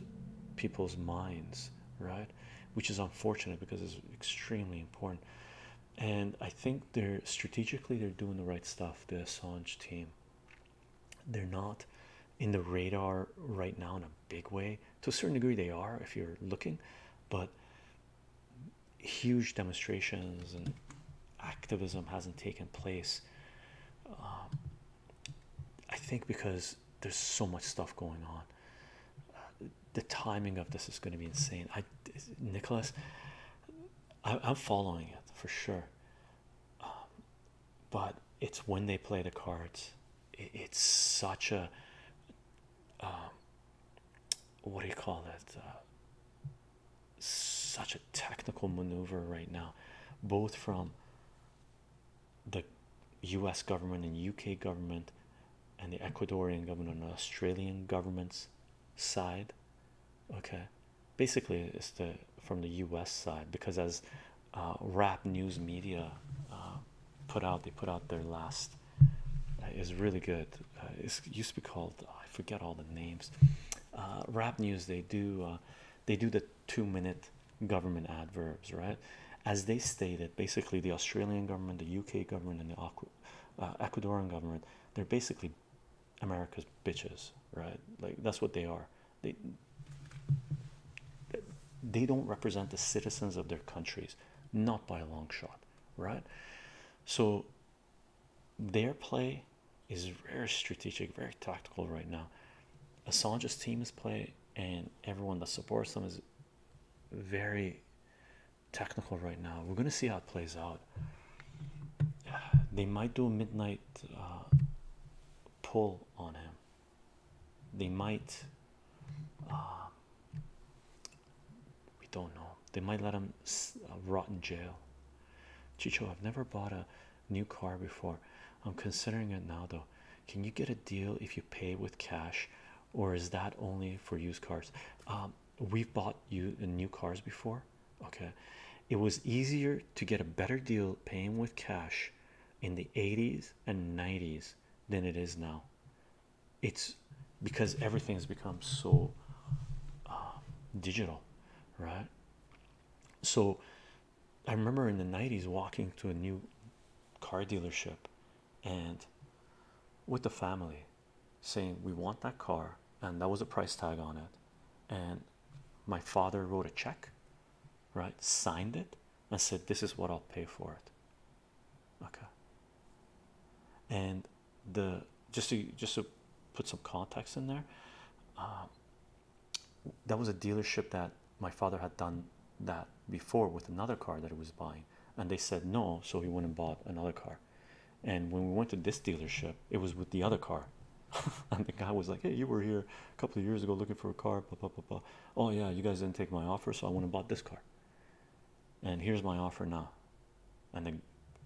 people's minds, right? Which is unfortunate because it's extremely important and I think they're strategically they're doing the right stuff. The Assange team, they're not in the radar right now in a big way. To a certain degree, they are if you're looking, but huge demonstrations and activism hasn't taken place. Um, I think because there's so much stuff going on. Uh, the timing of this is going to be insane. I, Nicholas, I, I'm following it for sure. Um, but it's when they play the cards. it's such a, um, what do you call it? Uh, such a technical maneuver right now, both from the U.S. government and U.K. government, and the Ecuadorian government and Australian governments side okay basically it's the from the us side because as uh, rap news media uh, put out they put out their last uh, is really good it used to be called i forget all the names rap news they do they do the two minute government adverbs right as they stated basically the australian government the uk government and the uh, Ecuadorian government, they're basically America's bitches, right? Like that's what they are. They they don't represent the citizens of their countries, not by a long shot, right? So their play is very strategic, very tactical right now. Assange's team is play, and everyone that supports them is very technical right now. We're gonna see how it plays out. They might do a midnight uh, pull on him. They might. Uh, we don't know. They might let him uh, rot in jail. Chicho, I've never bought a new car before. I'm considering it now, though. Can you get a deal if you pay with cash or is that only for used cars? Um, we've bought you uh, new cars before, okay. It was easier to get a better deal paying with cash in the 80s and 90s than it is now. It's because everything has become so uh, digital, right? So, I remember in the 90s walking to a new car dealership and with the family saying we want that car and that was a price tag on it and my father wrote a check right signed it and said this is what i'll pay for it okay and the just to just to put some context in there um, that was a dealership that my father had done that before with another car that he was buying and they said no, so he went and bought another car. And when we went to this dealership, it was with the other car. and the guy was like, Hey, you were here a couple of years ago looking for a car, blah blah blah blah. Oh yeah, you guys didn't take my offer, so I went and bought this car. And here's my offer now. And the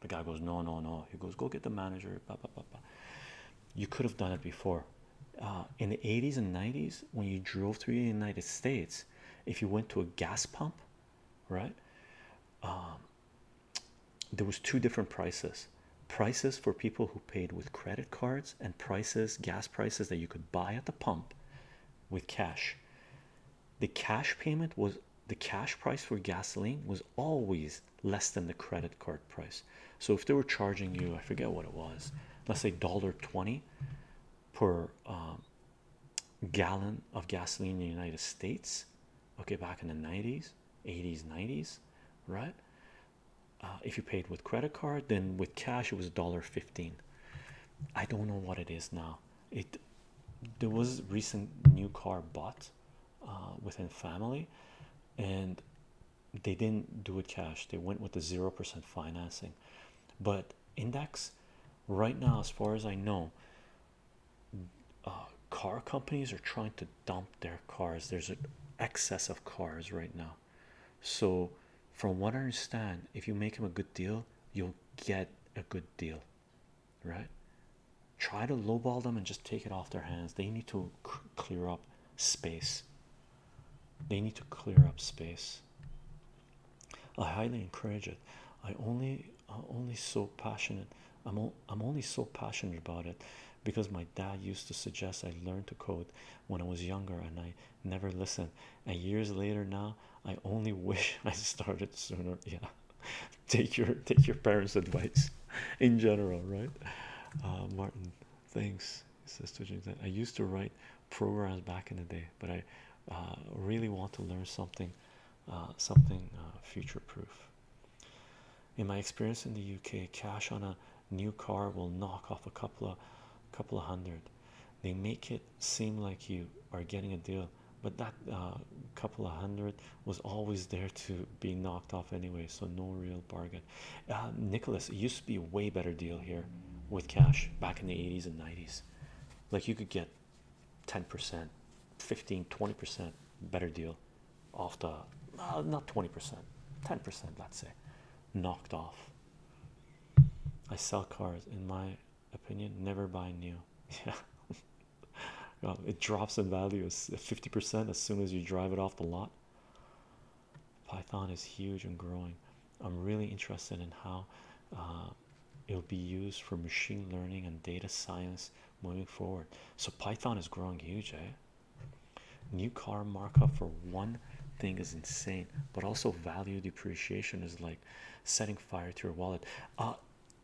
the guy goes, No, no, no. He goes, Go get the manager, blah blah blah blah. You could have done it before. Uh, in the 80s and 90s, when you drove through the United States, if you went to a gas pump, right um, there was two different prices prices for people who paid with credit cards and prices gas prices that you could buy at the pump with cash the cash payment was the cash price for gasoline was always less than the credit card price so if they were charging you i forget what it was let's say dollar 20 per um, gallon of gasoline in the United States, okay, back in the 90s, 80s, 90s, right? Uh, if you paid with credit card, then with cash it was $1.15. I don't know what it is now. It there was recent new car bought uh, within family, and they didn't do it cash. They went with the zero percent financing, but index right now, as far as I know, uh, car companies are trying to dump their cars. There's an excess of cars right now. So, from what I understand, if you make them a good deal, you'll get a good deal, right? Try to lowball them and just take it off their hands. They need to clear up space. They need to clear up space. I highly encourage it. I only I'm only so passionate. I'm I'm only so passionate about it because my dad used to suggest I learn to code when I was younger, and I never listened. And years later, now I only wish I started sooner. Yeah, take your take your parents' advice, in general, right? Uh, Martin, thanks. He says to James, I used to write programs back in the day, but I uh, really want to learn something uh, something uh, future proof. In my experience in the UK, cash on a new car will knock off a couple of couple of hundred. They make it seem like you are getting a deal, but that uh, couple of hundred was always there to be knocked off anyway, so no real bargain. Nicholas, it used to be a way better deal here with cash back in the 80s and 90s. Like you could get 10%, 15, 20% better deal off the uh, not 20%, 10%, let's say, knocked off. I sell cars, in my opinion, never buy new. Yeah, it drops in value 50% as soon as you drive it off the lot. Python is huge and growing. I'm really interested in how uh, it'll be used for machine learning and data science moving forward. So Python is growing huge, eh? New car markup for one thing is insane, but also value depreciation is like setting fire to your wallet. Uh,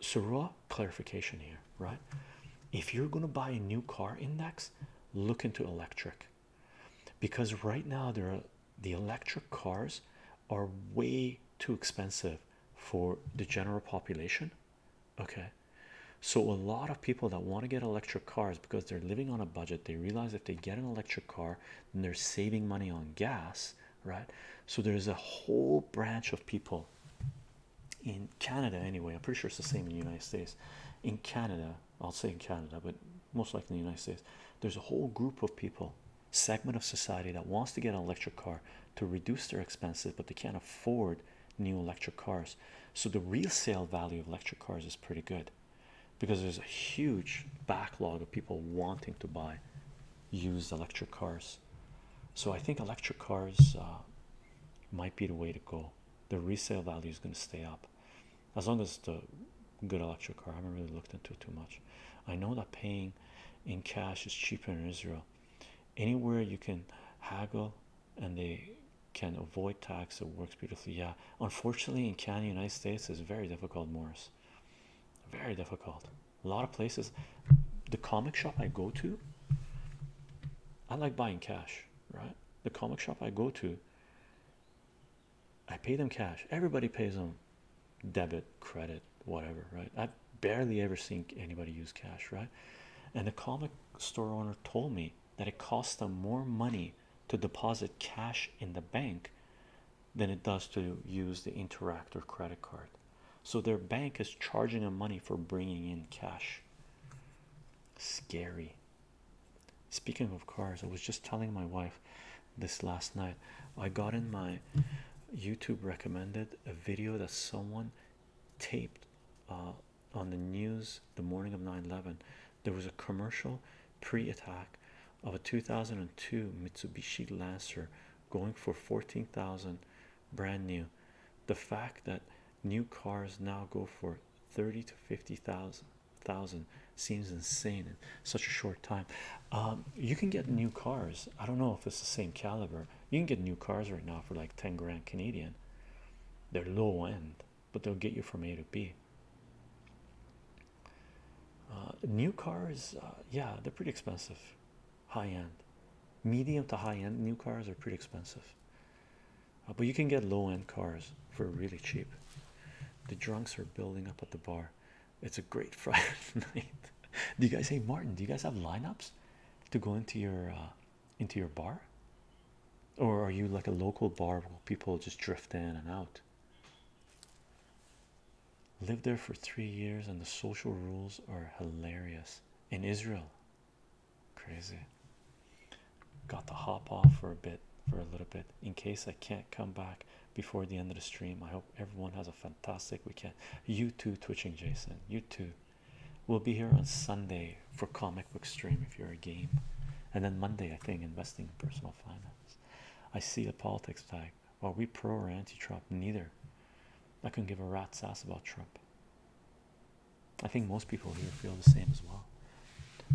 so raw clarification here, right? If you're gonna buy a new car index, look into electric because right now there the electric cars are way too expensive for the general population. Okay, so a lot of people that want to get electric cars because they're living on a budget, they realize if they get an electric car, then they're saving money on gas, right? So there's a whole branch of people in Canada, anyway. I'm pretty sure it's the same in the United States. In Canada, I'll say in Canada, but most likely in the United States, there's a whole group of people, segment of society that wants to get an electric car to reduce their expenses, but they can't afford new electric cars. So the resale value of electric cars is pretty good because there's a huge backlog of people wanting to buy used electric cars. So I think electric cars uh, might be the way to go. The resale value is going to stay up as long as the good electric car. I haven't really looked into it too much. I know that paying in cash is cheaper in Israel anywhere you can haggle and they can avoid tax it works beautifully yeah unfortunately in canada united states is very difficult morris very difficult a lot of places the comic shop i go to i like buying cash right the comic shop i go to i pay them cash everybody pays them debit credit whatever right i've barely ever seen anybody use cash right and the comic store owner told me that it costs them more money to deposit cash in the bank than it does to use the interact or credit card so their bank is charging them money for bringing in cash scary speaking of cars i was just telling my wife this last night i got in my youtube recommended a video that someone taped uh, on the news the morning of 9-11 there was a commercial pre-attack of a 2002 mitsubishi lancer going for 14000 brand new the fact that new cars now go for 30 to 50000 thousand seems insane in such a short time um, you can get new cars i don't know if it's the same caliber you can get new cars right now for like 10 grand Canadian. They're low end, but they'll get you from A to B. Uh, new cars, uh, yeah, they're pretty expensive. High end, medium to high end new cars are pretty expensive. Uh, but you can get low end cars for really cheap. The drunks are building up at the bar. It's a great Friday night. Do you guys hey Martin? Do you guys have lineups? to go into your uh, into your bar, or are you like a local bar where people just drift in and out? Lived there for three years, and the social rules are hilarious in Israel. Crazy. Got to hop off for a bit, for a little bit, in case I can't come back before the end of the stream. I hope everyone has a fantastic weekend. You too, Twitching Jason. You too. We'll be here on Sunday for comic book stream if you're a game, and then Monday, I think, investing in personal finance. I see the politics tag. Are we pro or anti Trump? Neither. I can give a rat's ass about Trump. I think most people here feel the same as well.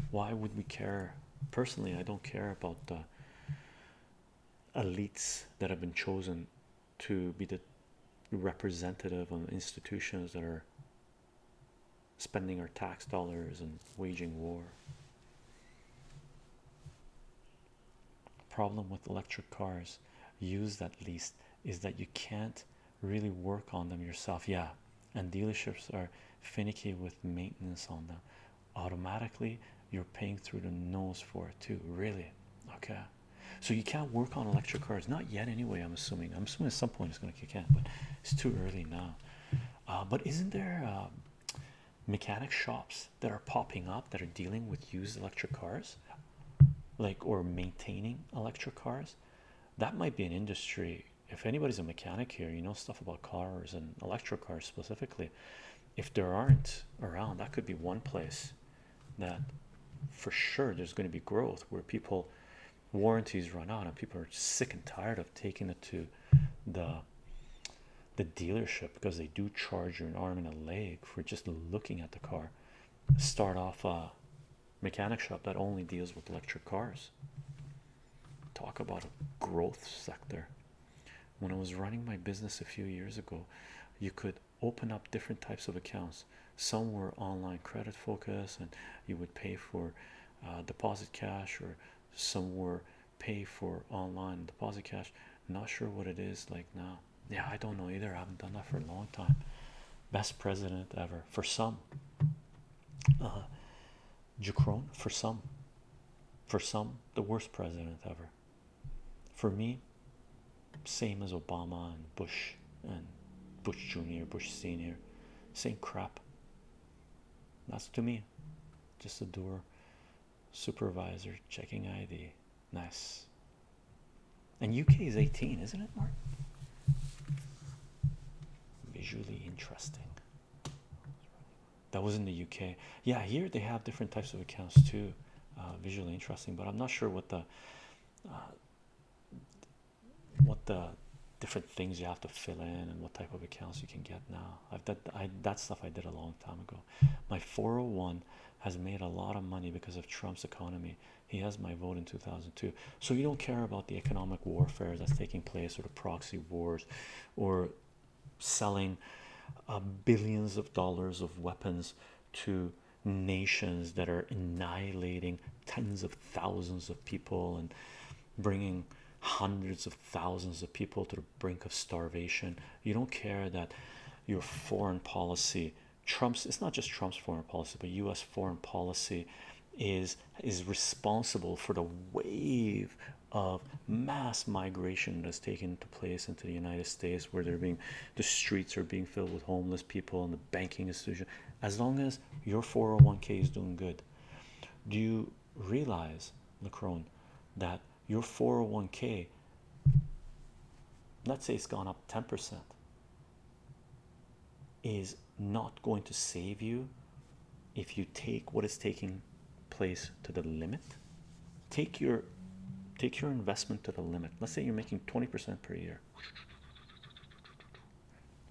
Why would we care? Personally, I don't care about the elites that have been chosen to be the representative on institutions that are spending our tax dollars and waging war. Problem with electric cars used at least is that you can't really work on them yourself. Yeah, and dealerships are finicky with maintenance on them. Automatically, you're paying through the nose for it too. Really? Okay so you can't work on electric cars not yet anyway i'm assuming i'm assuming at some point it's going to kick in but it's too early now uh, but isn't there uh, mechanic shops that are popping up that are dealing with used electric cars like or maintaining electric cars that might be an industry if anybody's a mechanic here you know stuff about cars and electric cars specifically if there aren't around that could be one place that for sure there's going to be growth where people warranties run out and people are sick and tired of taking it to the the dealership because they do charge you an arm and a leg for just looking at the car start off a mechanic shop that only deals with electric cars talk about a growth sector when i was running my business a few years ago you could open up different types of accounts. Some were online credit focus, and you would pay for uh, deposit cash, or some were pay for online deposit cash. Not sure what it is like now. Yeah, I don't know either. I haven't done that for a long time. Best president ever for some. Uh, Jacron for some, for some the worst president ever. For me, same as Obama and Bush and Bush Jr., Bush Sr., same crap. That's to me just a door supervisor checking ID. Nice. And UK is 18, isn't it, Mark? Visually interesting. That was in the UK. Yeah, here they have different types of accounts too. Uh, visually interesting, but I'm not sure what the uh, what the different things you have to fill in and what type of accounts you can get now. I've that that stuff I did a long time ago. My 401 has made a lot of money because of Trump's economy. He has my vote in 2002. So you don't care about the economic warfare that's taking place or the proxy wars or selling uh, billions of dollars of weapons to nations that are annihilating tens of thousands of people and bringing hundreds of thousands of people to the brink of starvation. You don't care that your foreign policy, Trump's, it's not just Trump's foreign policy, but US foreign policy is is responsible for the wave of mass migration that's taken to place into the United States where they're being the streets are being filled with homeless people and the banking institution as long as your 401k is doing good do you realize lacrone that your 401k let's say it's gone up 10% is not going to save you if you take what is taking place to the limit take your take your investment to the limit let's say you're making 20% per year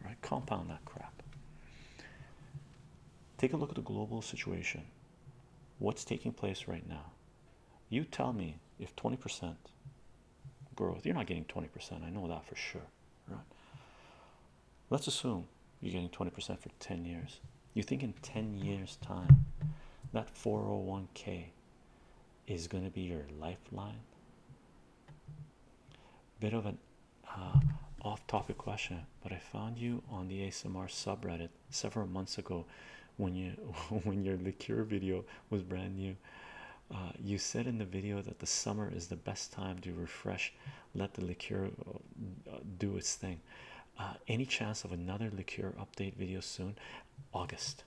Right? Compound that crap. Take a look at the global situation. What's taking place right now? You tell me if 20% growth, you're not getting 20%, I know that for sure. Right? Let's assume you're getting 20% for 10 years. You think in 10 years' time that 401k is going to be your lifeline. Bit of an uh, off topic question, but I found you on the ASMR subreddit several months ago when you when your liqueur video was brand new. Uh, you said in the video that the summer is the best time to refresh, let the liqueur uh, do its thing. any chance of another liqueur update video soon? August.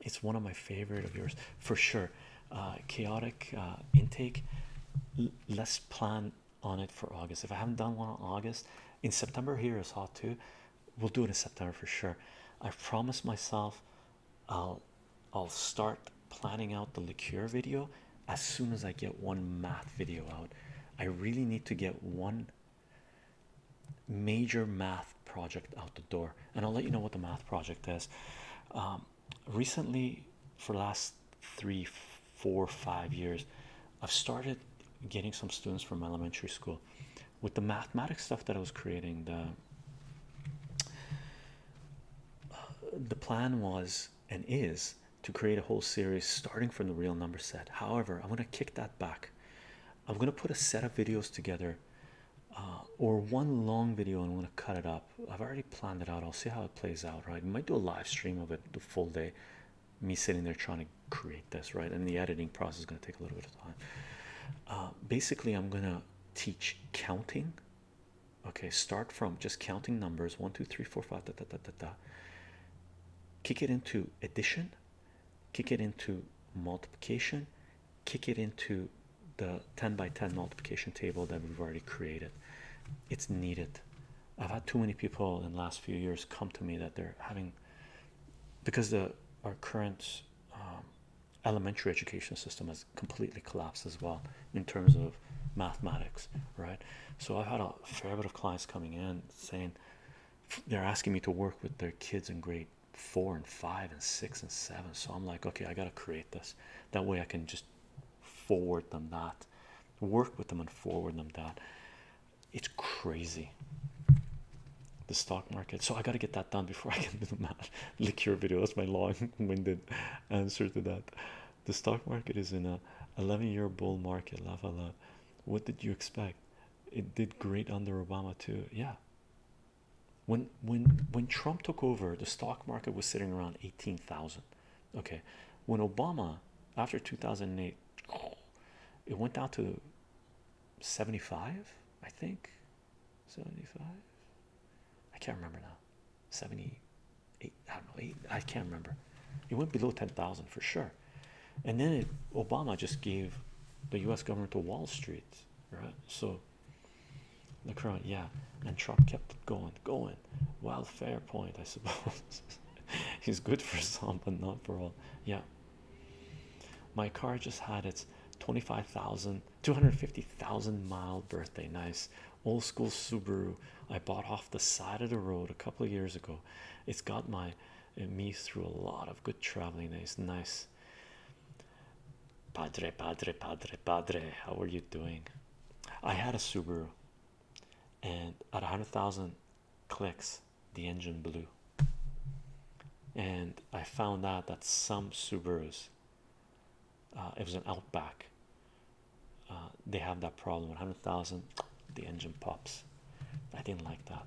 It's one of my favorite of yours for sure. Uh, chaotic uh, intake. L let's plan on it for August. If I haven't done one on August, in September here is hot too. We'll do it in September for sure. I promised myself I'll I'll start planning out the liqueur video as soon as I get one math video out. I really need to get one major math project out the door, and I'll let you know what the math project is. Um, recently, for the last three, four, five years, I've started getting some students from elementary school with the mathematics stuff that I was creating. The the plan was and is to create a whole series starting from the real number set. However, I'm going to kick that back. I'm going to put a set of videos together uh, or one long video and I'm going to cut it up. I've already planned it out. I'll see how it plays out, right? We might do a live stream of it the full day. Me sitting there trying to create this, right? And the editing process is going to take a little bit of time. Uh, basically, I'm going to teach counting. Okay, start from just counting numbers one, two, three, four, five, da, da, da, da, da. kick it into addition, kick it into multiplication, kick it into the 10 by 10 multiplication table that we've already created. It's needed. I've had too many people in the last few years come to me that they're having because the our current um, elementary education system has completely collapsed as well in terms of mathematics, right? So I've had a fair bit of clients coming in saying they're asking me to work with their kids in grade four and five and six and seven. So I'm like, okay, I gotta create this. That way I can just forward them that, work with them and forward them that. It's crazy. The stock market. So I gotta get that done before I can do the math. Liqueur video. That's my long-winded answer to that. The stock market is in a 11-year bull market. La, la, la. What did you expect? It did great under Obama too. Yeah, when when when Trump took over, the stock market was sitting around 18,000. Okay, when Obama after 2008, it went down to 75, I think. 75, I can't remember now. 78, I don't know, eight, I can't remember. It went below 10,000 for sure. And then Obama just gave the US government to Wall Street, right? So the LeCron, yeah, and Trump kept it going, going. Well, fair point, I suppose. He's good for some, but not for all. Yeah, my car just had its 25,000, 250,000 mile birthday. Nice old school Subaru I bought off the side of the road a couple of years ago. It's got my uh, me through a lot of good traveling days. Nice, Padre, Padre, Padre, Padre, how are you doing? I had a Subaru and at 100,000 clicks, the engine blew. And I found out that some Subarus, uh, it was an Outback, uh, they have that problem 100,000, the engine pops. I didn't like that.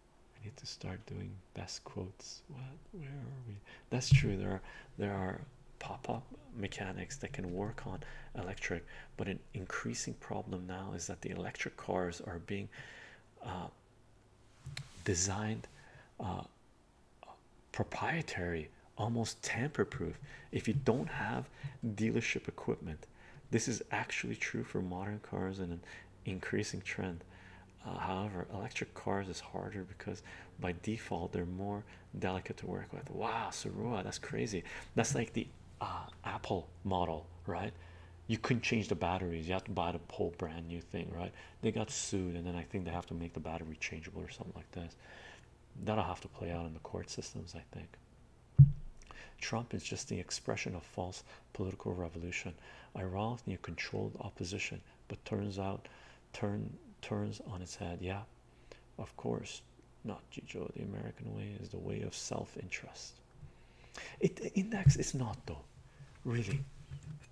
I need to start doing best quotes. What? Where are we? That's true. There are there are pop-up mechanics that can work on electric, but an increasing problem now is that the electric cars are being uh, designed uh, proprietary, almost tamper-proof. If you don't have dealership equipment, this is actually true for modern cars and an increasing trend. Uh, however, electric cars is harder because by default they're more delicate to work with. Wow, Sarua, that's crazy. That's like the uh, Apple model, right? You couldn't change the batteries, you have to buy the whole brand new thing, right? They got sued, and then I think they have to make the battery changeable or something like this. That'll have to play out in the court systems, I think. Trump is just the expression of false political revolution. Ironically, controlled opposition, but turns out turn turns on its head. Yeah, of course not, Gijo. The American way is the way of self-interest. It index is not though, really.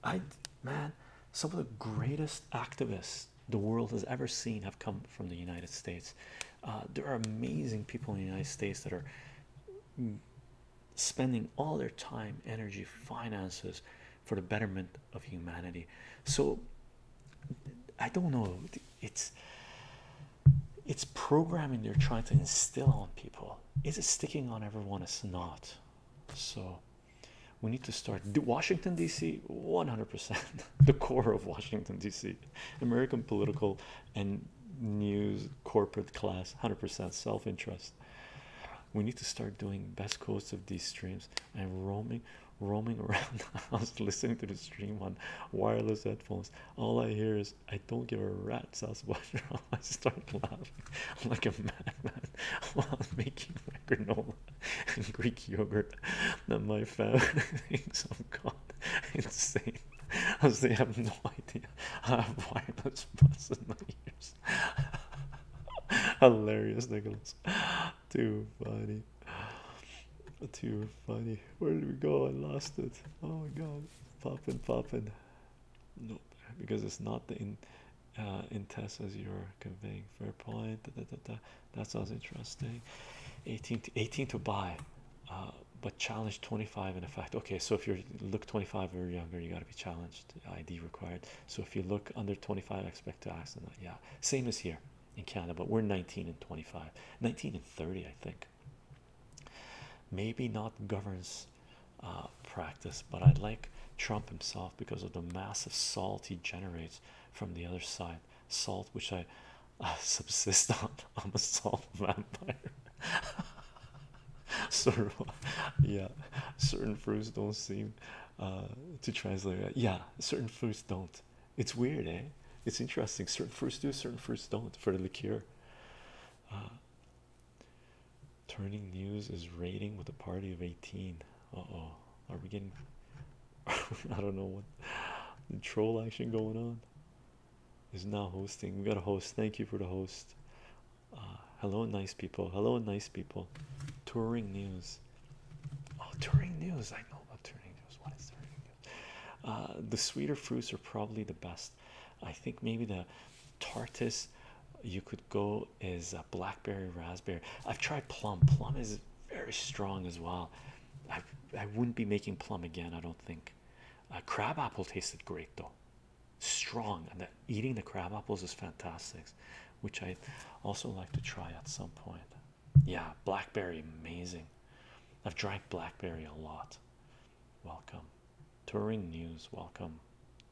I man, some of the greatest activists the world has ever seen have come from the United States. Uh, there are amazing people in the United States that are mm, spending all their time, energy, finances for the betterment of humanity. So I don't know. It's it's programming they're trying to instill on people. Is it sticking on everyone? It's not. So we need to start Washington DC 100% the core of Washington DC American political and news corporate class 100% self-interest we need to start doing best quotes of these streams i'm roaming roaming around the house listening to the stream on wireless headphones all i hear is i don't give a rat's ass what i start laughing like a madman while making my granola and greek yogurt that my family thinks i am got insane as they have no idea i have wireless buds in my ears Hilarious, Nicholas. Too funny. Too funny. Where did we go? I lost it. Oh my god. Popping, popping. No, Because it's not the in uh, test as you're conveying. Fair point. That sounds interesting. 18 to buy. Uh, but challenge 25 in effect. Okay, so if you look 25 or younger, you got to be challenged. ID required so if you look under 25 expect to ask accident yeah same as here in Canada but we're 19 and 25 19 and 30 I think maybe not governs uh, practice but I like Trump himself because of the massive salt he generates from the other side salt which I subsist on I'm a salt vampire sort yeah, certain fruits don't seem uh, to translate. Yeah, certain fruits don't. It's weird, eh? It's interesting. Certain fruits do, certain fruits don't. For the liqueur, uh, turning news is raiding with a party of 18. Uh oh, are we getting? I don't know what the troll action going on is now hosting. We got a host. Thank you for the host. Ah, hello, nice people. Hello, nice people. Touring news. Oh, touring news. I know about touring news. What is touring news? Ah, the sweeter fruits are probably the best. I think maybe the tartest you could go is a blackberry, raspberry. I've tried plum. Plum is very strong as well. I I wouldn't be making plum again. I don't think. Ah, Crabapple tasted great though strong and that eating the crab apples is fantastic which i also like to try at some point yeah blackberry amazing i've drank blackberry a lot welcome touring news welcome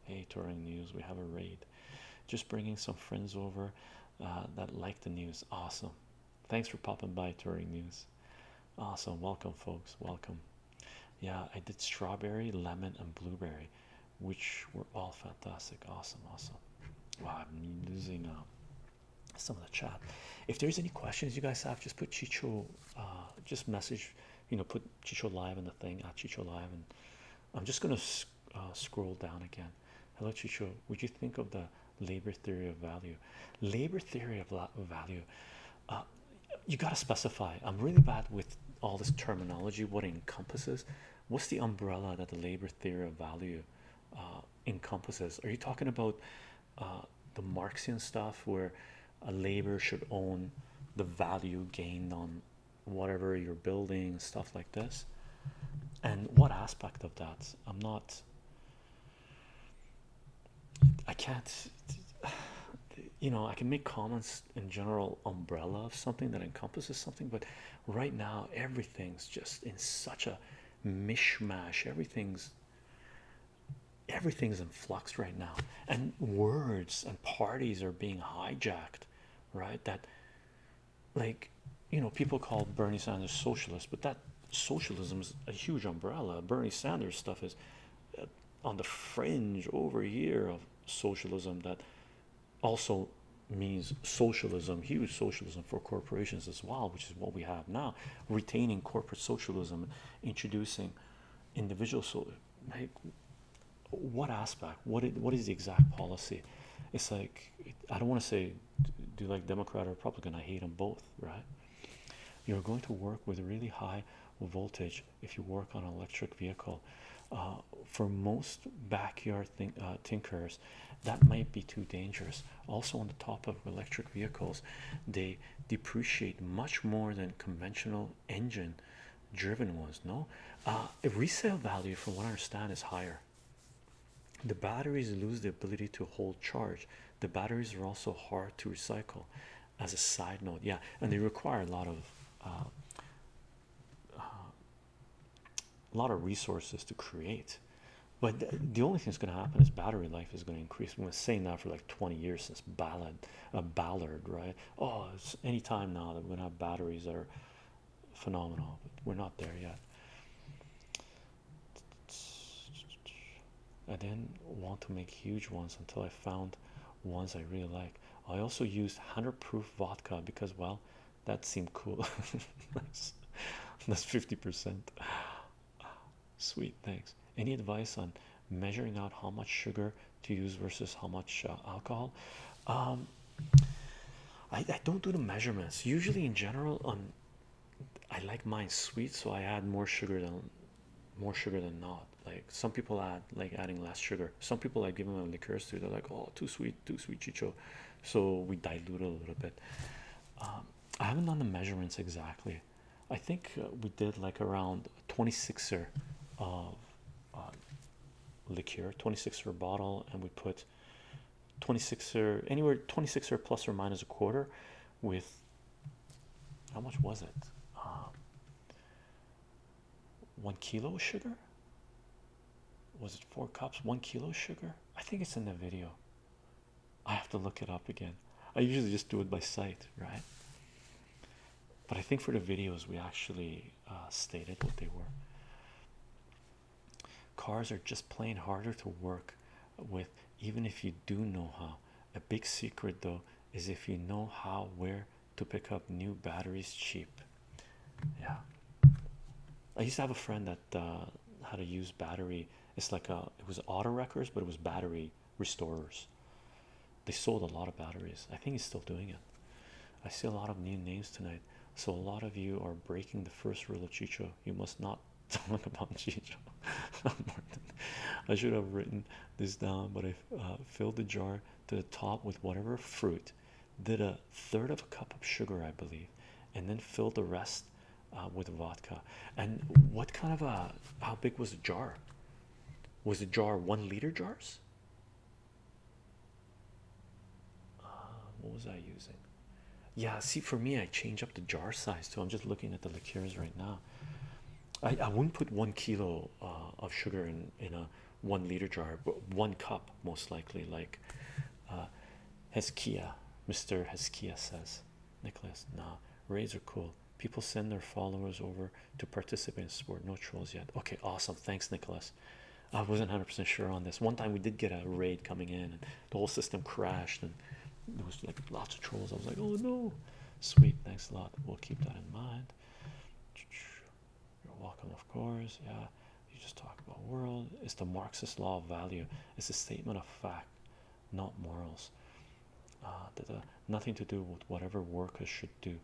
hey touring news we have a raid just bringing some friends over uh, that like the news awesome thanks for popping by touring news awesome welcome folks welcome yeah i did strawberry lemon and blueberry which were all fantastic. Awesome, awesome. Wow, I'm losing uh, some of the chat. If there's any questions you guys have, just put Chicho, uh, just message, you know, put Chicho Live in the thing at Chicho Live. And I'm just going to uh, scroll down again. Hello, Chicho. Would you think of the labor theory of value? Labor theory of value. Uh, you got to specify. I'm really bad with all this terminology, what it encompasses, what's the umbrella that the labor theory of value uh, encompasses? Are you talking about uh, the Marxian stuff where a labor should own the value gained on whatever you're building, stuff like this? And what aspect of that? I'm not, I can't, you know, I can make comments in general umbrella of something that encompasses something but right now everything's just in such a mishmash everything's everything's in flux right now and words and parties are being hijacked right that like you know people call bernie sanders socialist but that socialism is a huge umbrella bernie sanders stuff is uh, on the fringe over here of socialism that also means socialism, huge socialism for corporations as well, which is what we have now, retaining corporate socialism, introducing individual so like what aspect what is, what is the exact policy it's like i don't want to say do you like democrat or republican i hate them both right you're going to work with really high voltage if you work on an electric vehicle. Uh, for most backyard uh, tinkers, that might be too dangerous. Also, on the top of electric vehicles, they depreciate much more than conventional engine driven ones. No, the uh, resale value, from what I understand, is higher. The batteries lose the ability to hold charge, the batteries are also hard to recycle. As a side note, yeah, and they require a lot of uh, a lot of resources to create. But the only thing that's going to happen is battery life is going to increase. I'm going to say that for like 20 years since Ballard, uh, Ballard, right? Oh, any time now that we're going to have batteries that are phenomenal, we're not there yet. I didn't want to make huge ones until I found ones I really like. I also used 100 proof vodka because, well, that seemed cool. That's 50%. Sweet, thanks. Any advice on measuring out how much sugar to use versus how much uh, alcohol? Um, I, don't do the measurements usually in general. On um, I like mine sweet, so I add more sugar than more sugar than not. Like some people add like adding less sugar. Some people I give them a liqueurs too. They're like, oh, too sweet too sweet chicho so we dilute a little bit um, i haven't done the measurements exactly i think uh, we did like around a 26er of uh, liqueur 26er bottle and we put 26er uh, anywhere 26er plus or minus a quarter with how much was it um, one kilo sugar was it four cups one kilo sugar i think it's in the video i have to look it up again i usually just do it by sight right but i think for the videos we actually uh, stated what they were cars are just plain harder to work with even if you do know how a big secret though is if you know how where to pick up new batteries cheap. Yeah, I used to have a friend that uh, had a used battery. It's like a it was auto wreckers, but it was battery restorers. They sold a lot of batteries. I think he's still doing it. I see a lot of new names tonight, so a lot of you are breaking the first rule of Chicho. You must not talk about Chicho. Martin. I should have written this down, but I uh, filled the jar to the top with whatever fruit did a third of a cup of sugar, I believe, and then filled the rest uh, with vodka. And what kind of a how big was the jar? Was it jar one liter jars? Um, what was I using? Yeah, see, for me, I change up the jar size too. I'm just looking at the liqueurs right now. I, I wouldn't put one kilo uh, of sugar in in a one liter jar, but one cup most likely, like uh, Heskia, Mr. Heskia says. Nicholas, nah, raids are cool. People send their followers over to participate in support. No trolls yet. Okay, awesome. Thanks, Nicholas. I wasn't 100% sure on this. One time we did get a raid coming in, and the whole system crashed, and there was like lots of trolls. I was like, oh no. Sweet, thanks a lot. We'll keep that in mind you're welcome of course yeah you just talk about world it's the marxist law of value it's a statement of fact not morals uh, nothing to do with whatever workers should do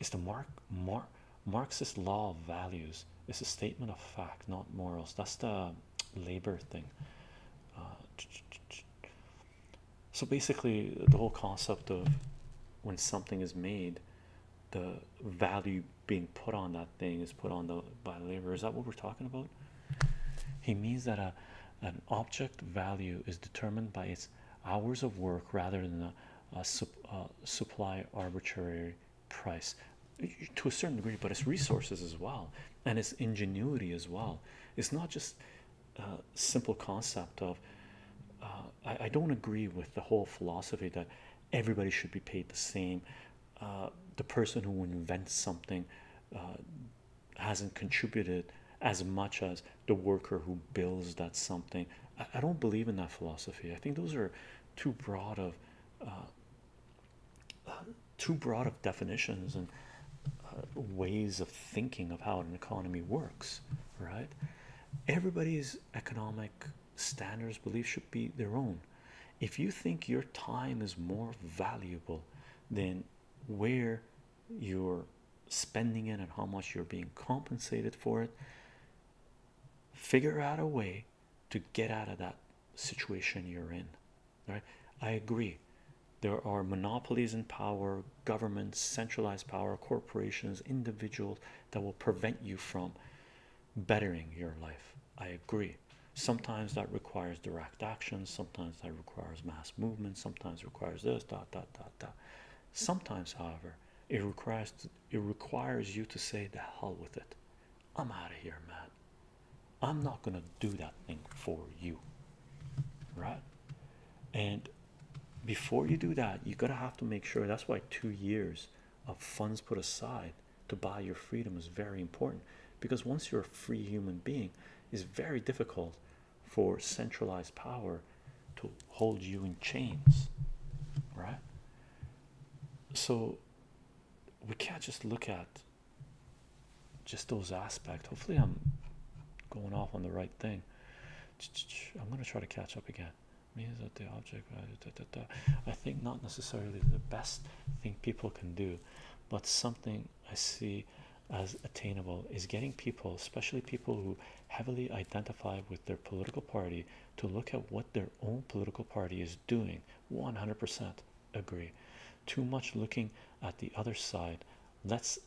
it's the mark mark marxist law of values it's a statement of fact not morals that's the labor thing uh, so basically the whole concept of when something is made the value being put on that thing is put on the by labor. Is that what we're talking about? He means that a an object value is determined by its hours of work rather than a, a, sup, a supply arbitrary price to a certain degree, but it's resources as well and it's ingenuity as well. It's not just a simple concept of uh, I, don't agree with the whole philosophy that everybody should be paid the same. Uh, the person who invents something uh, hasn't contributed as much as the worker who builds that something. I, don't believe in that philosophy. I think those are too broad of too broad of definitions and ways of thinking of how an economy works. Right? Everybody's economic standards beliefs should be their own if you think your time is more valuable than where you're spending it and how much you're being compensated for it figure out a way to get out of that situation you're in right i agree there are monopolies in power governments centralized power corporations individuals that will prevent you from bettering your life. I agree. Sometimes that requires direct action, sometimes that requires mass movement, sometimes requires this, dot dot dot dot. Sometimes, however, it requires it requires you to say the hell with it. I'm out of here, man. I'm not gonna do that thing for you. Right? And before you do that, you gotta have to make sure that's why two years of funds put aside to buy your freedom is very important because once you're a free human being, it's very difficult for centralized power to hold you in chains, right? So we can't just look at just those aspects. Hopefully, I'm going off on the right thing. I'm going to try to catch up again means that the object I think not necessarily the best thing people can do but something I see as attainable is getting people especially people who heavily identify with their political party to look at what their own political party is doing 100% agree too much looking at the other side lets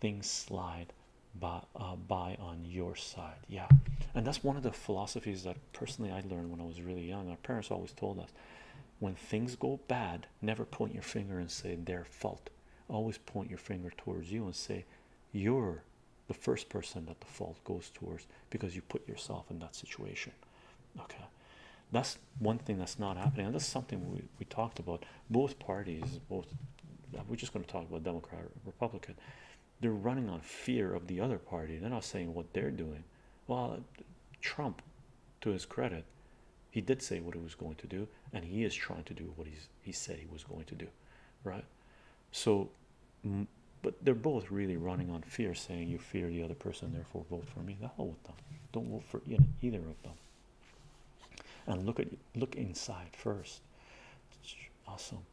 things slide by uh, on your side yeah and that's one of the philosophies that personally i learned when i was really young our parents always told us when things go bad never point your finger and say their fault always point your finger towards you and say you're the first person that the fault goes towards because you put yourself in that situation okay that's one thing that's not happening and that's something we, we talked about both parties both uh, we're just going to talk about democrat republican they're running on fear of the other party. They're not saying what they're doing. Well, Trump, to his credit, he did say what he was going to do, and he is trying to do what he's he said he was going to do, right? So, but they're both really running on fear, saying you fear the other person, therefore vote for me. The hell with them. Don't vote for either of them. And look at look inside first awesome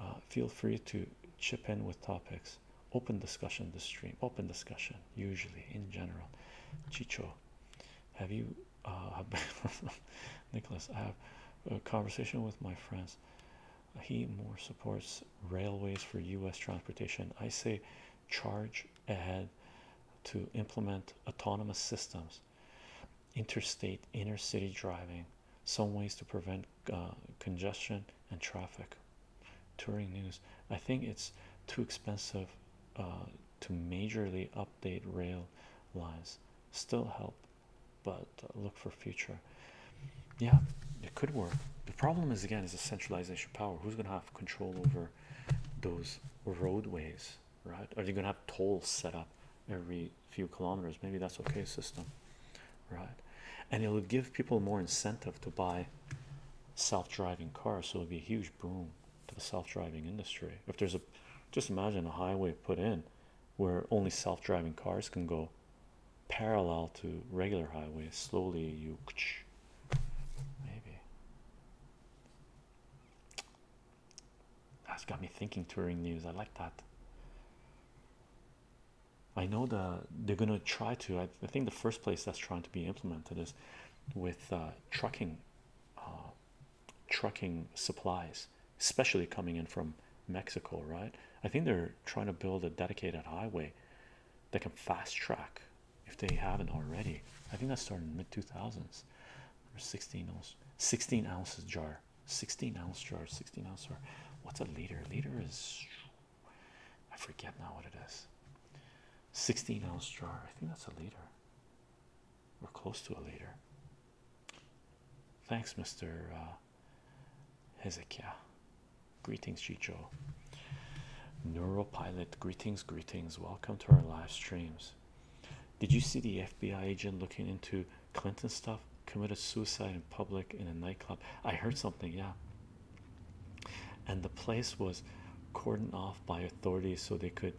uh, feel free to chip in with topics open discussion The stream open discussion usually in general chicho have you uh, nicholas i have a conversation with my friends he more supports railways for u.s transportation i say charge ahead to implement autonomous systems interstate inner city driving some ways to prevent uh, congestion and traffic touring news i think it's too expensive uh, to majorly update rail lines still help but uh, look for future yeah it could work the problem is again is a centralization power who's gonna have control over those roadways right are they gonna have tolls set up every few kilometers maybe that's okay system right and it will give people more incentive to buy self-driving cars so it'll be a huge boom to the self-driving industry if there's a just imagine a highway put in where only self-driving cars can go parallel to regular highways slowly you maybe that's got me thinking touring news i like that I know the they're gonna try to. I, think the first place that's trying to be implemented is with uh, trucking, uh, trucking supplies, especially coming in from Mexico. Right? I think they're trying to build a dedicated highway that can fast track if they haven't already. I think that started mid two thousands. 16 ounce 16 ounces jar 16 ounce jar 16 ounce jar what's a liter liter is i forget now what it is 16 ounce jar i think that's a liter we're close to a liter thanks mr uh, hezekiah greetings chicho Pilot. greetings greetings welcome to our live streams did you see the fbi agent looking into Clinton stuff, committed suicide in public in a nightclub. I heard mm-hmm. something, yeah. And the place was cordoned off by authorities so they could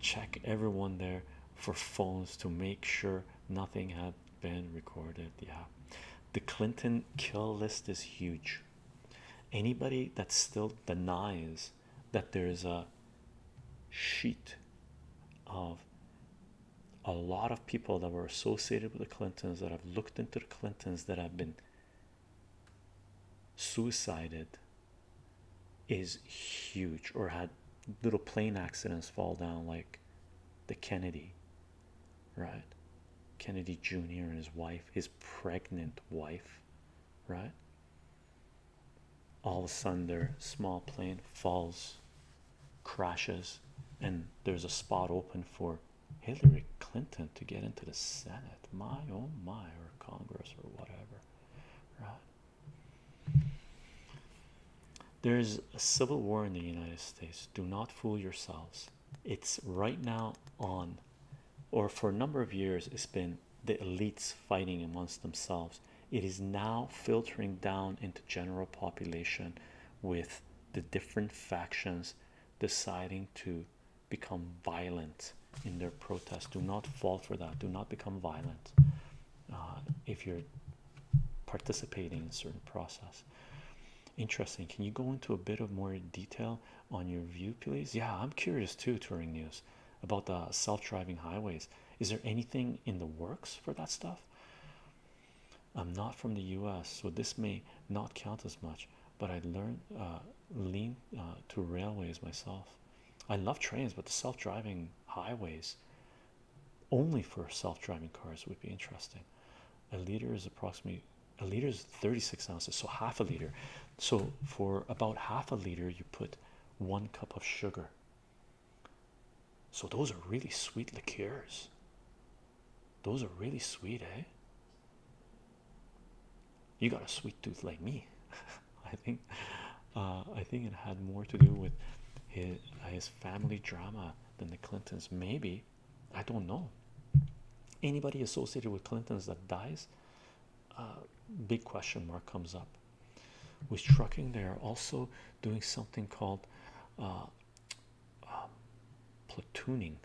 check everyone there for phones to make sure nothing had been recorded. Yeah, the Clinton kill list is huge. Anybody that still denies that there is a sheet of a lot of people that were associated with the Clintons that have looked into the Clintons that have been suicided is huge or had little plane accidents fall down like the Kennedy right Kennedy Jr. and his wife his pregnant wife right all of a sudden their small plane falls crashes, and there's a spot open for Hillary Clinton to get into the Senate. My oh my, or Congress, or whatever, There is a civil war in the United States. Do not fool yourselves. It's right now on, or for a number of years, it's been the elites fighting amongst themselves. It is now filtering down into general population with the different factions deciding to become violent in their protests, Do not fall for that. Do not become violent uh, if you're participating in a certain process. Interesting. Can you go into a bit of more detail on your view, please? Yeah, I'm curious too, Touring News, about the self-driving highways. Is there anything in the works for that stuff? I'm not from the US, so this may not count as much, but I learned uh, lean uh, to railways myself. I love trains, but the self driving highways only for self driving cars would be interesting. A liter is approximately a liter is 36 ounces, so half a liter. So, for about half a liter, you put one cup of sugar so those are really sweet liqueurs. Those are really sweet, eh? You got a sweet tooth like me. I think uh, I think it had more to do with uh, his family drama than the Clintons. Maybe I don't know. Anybody associated with Clintons that dies, uh, big question mark comes up. With trucking, they are also doing something called um, platooning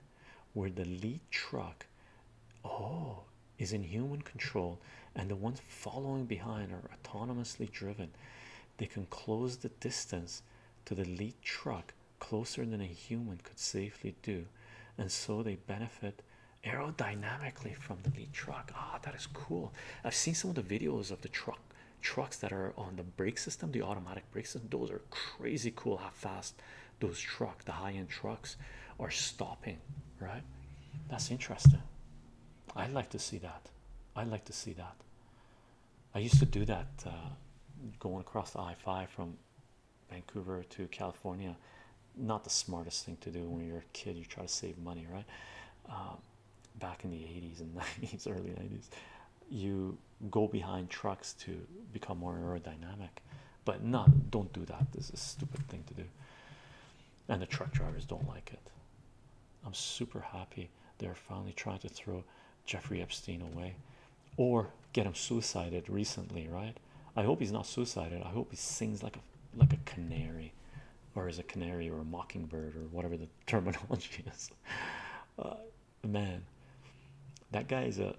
where the lead truck oh is in human control and the ones following behind are autonomously driven they can close the distance to the lead truck closer than a human could safely do and so they benefit aerodynamically from the lead truck ah that is cool i've seen some of the videos of the truck trucks that are on the brake system, the automatic brakes, system. Those are crazy cool how fast those truck, the high-end trucks, are stopping. Right? That's interesting. I like to see that. I like to see that. I used to do that uh, going across the I-5 from Vancouver to California. Not the smartest thing to do when you're a kid. You try to save money, right? Um, back in the 80s and 90s, early 90s, you go behind trucks to become more aerodynamic. But not don't do that. This is a stupid thing to do. And the truck drivers don't like it. I'm super happy they're finally trying to throw Jeffrey Epstein away or get him suicided recently, right? I hope he's not suicided. I hope he sings like a like a canary or is a canary or a mockingbird or whatever the terminology is. Uh, man that guy is a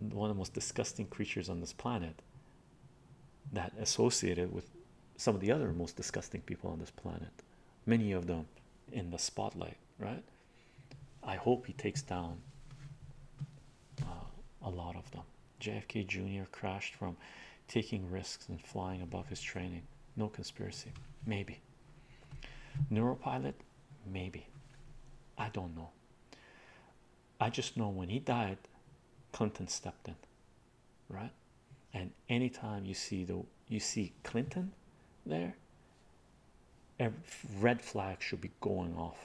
one of the most disgusting creatures on this planet that associated with some of the other most disgusting people on this planet many of them in the spotlight right i hope he takes down uh, a lot of them jfk jr crashed from taking risks and flying above his training no conspiracy maybe neuropilot maybe i don't know i just know when he died clinton stepped in right and anytime you see the you see clinton there a red flag should be going off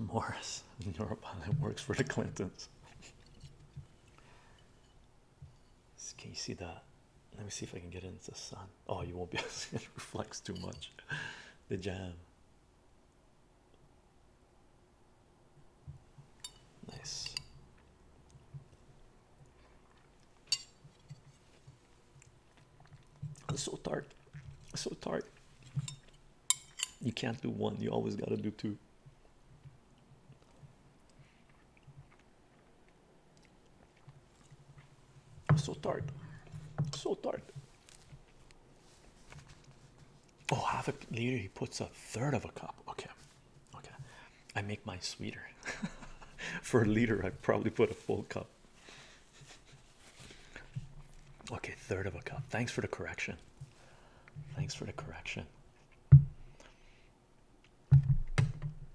Morris neuropilot works for the Clintons can you see that? Let me see if I can get into the sun. Oh, you won't be able to see it reflects too much. The jam. Nice. It's so tart. so tart. You can't do one, you always gotta do two. So tart. So tart. Oh, half a liter. He puts a third of a cup. Okay. Okay. I make mine sweeter. For a liter, I probably put a full cup. Okay, third of a cup. Thanks for the correction. Thanks for the correction.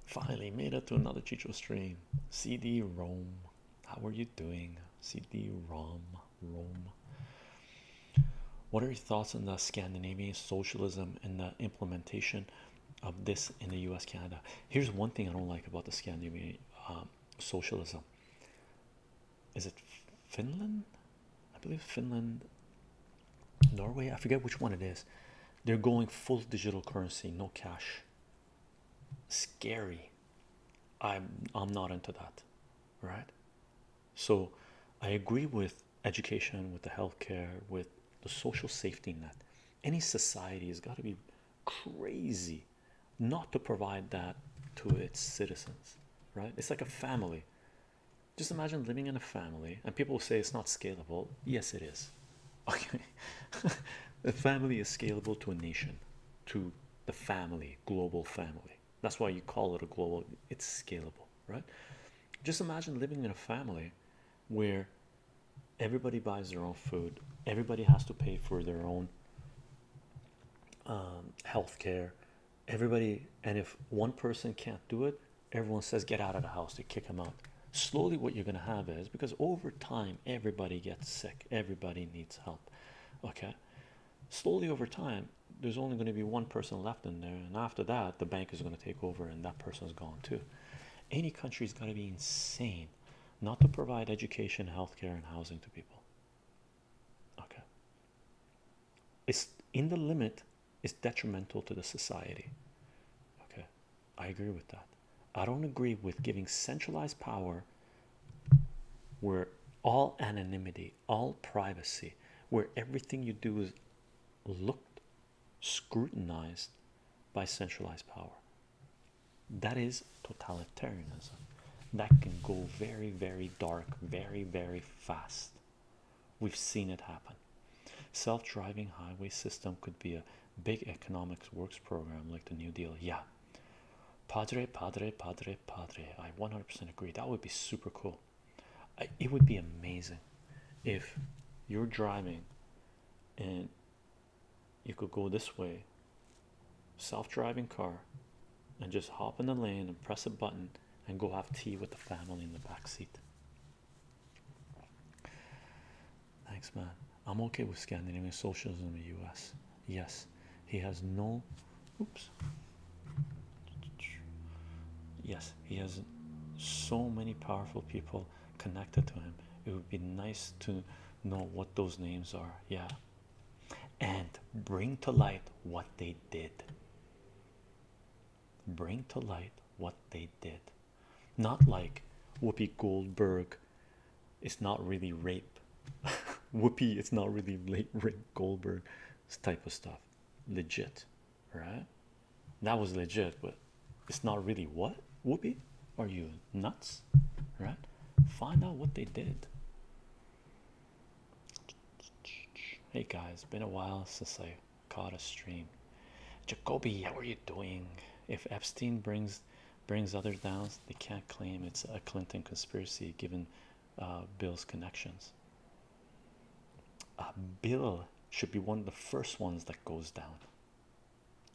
Finally made it to another Chicho stream. CD Rome, how are you doing? CD Rom, Rome. What are your thoughts on the Scandinavian socialism and the implementation of this in the U.S. Canada? Here's one thing I don't like about the Scandinavian um, socialism is it Finland? I believe Finland, Norway. I forget which one it is. They're going full digital currency, no cash. Scary. I'm I'm not into that, right? So, I agree with education, with the healthcare, with the social safety net. Any society has got to be crazy not to provide that to its citizens, right? It's like a family. Just imagine living in a family, and people say it's not scalable. Yes, it is. Okay, the family is scalable to a nation, to the family, global family. That's why you call it a global, it's scalable, right? Just imagine living in a family where everybody buys their own food, everybody has to pay for their own um, health care, everybody and if one person can't do it everyone says get out of the house to kick them out slowly what you're going to have is because over time everybody gets sick everybody needs help okay slowly over time there's only going to be one person left in there and after that the bank is going to take over and that person's gone too any country's got to be insane not to provide education healthcare and housing to people okay it's in the limit is detrimental to the society okay i agree with that i don't agree with giving centralized power where all anonymity all privacy where everything you do is looked scrutinized by centralized power that is totalitarianism that can go very very dark very very fast We've seen it happen. Self-driving highway system could be a big economics works program like the New Deal. Yeah. Padre, padre, padre, padre. I 100% agree. That would be super cool. it would be amazing if you're driving and you could go this way self-driving car and just hop in the lane and press a button and go have tea with the family in the back seat. Thanks, man. I'm okay with Scandinavian socialism in the US. Yes, he has no oops. Yes, he has so many powerful people connected to him. It would be nice to know what those names are. Yeah, and bring to light what they did bring to light what they did. Not like Whoopi Goldberg, it's not really rape. Whoopi, it's not really late rape Goldberg type of stuff. Legit, right? That was legit, but it's not really what Whoopi. Are you nuts? Right? Find out what they did. Hey guys, been a while since I caught a stream. Jacoby, how are you doing? If Epstein brings brings others down, they can't claim it's a Clinton conspiracy given uh, Bill's connections. Uh, Bill should be one of the first ones that goes down.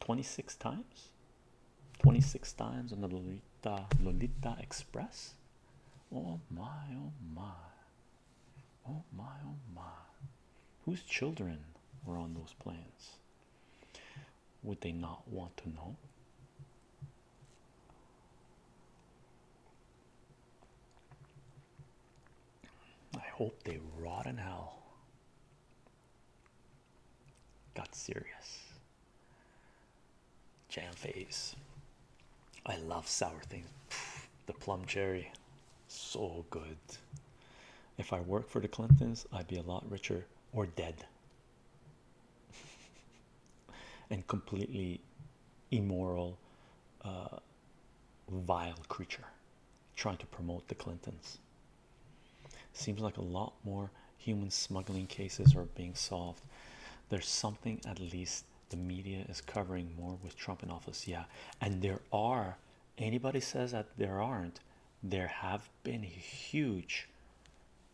26 times? 26 times on the Lolita, Lolita Express? Oh my, oh my. Oh my, oh my. Whose children were on those planes? Would they not want to know? I hope they rot in hell. Got serious. Jam face. I love sour things. the plum cherry, so good. If I worked for the Clintons, I'd be a lot richer or dead and completely immoral, uh, vile creature trying to promote the Clintons. Seems like a lot more human smuggling cases are being solved. There's something at least the media is covering more with Trump in office. Yeah, and there are anybody says that there aren't, there have been huge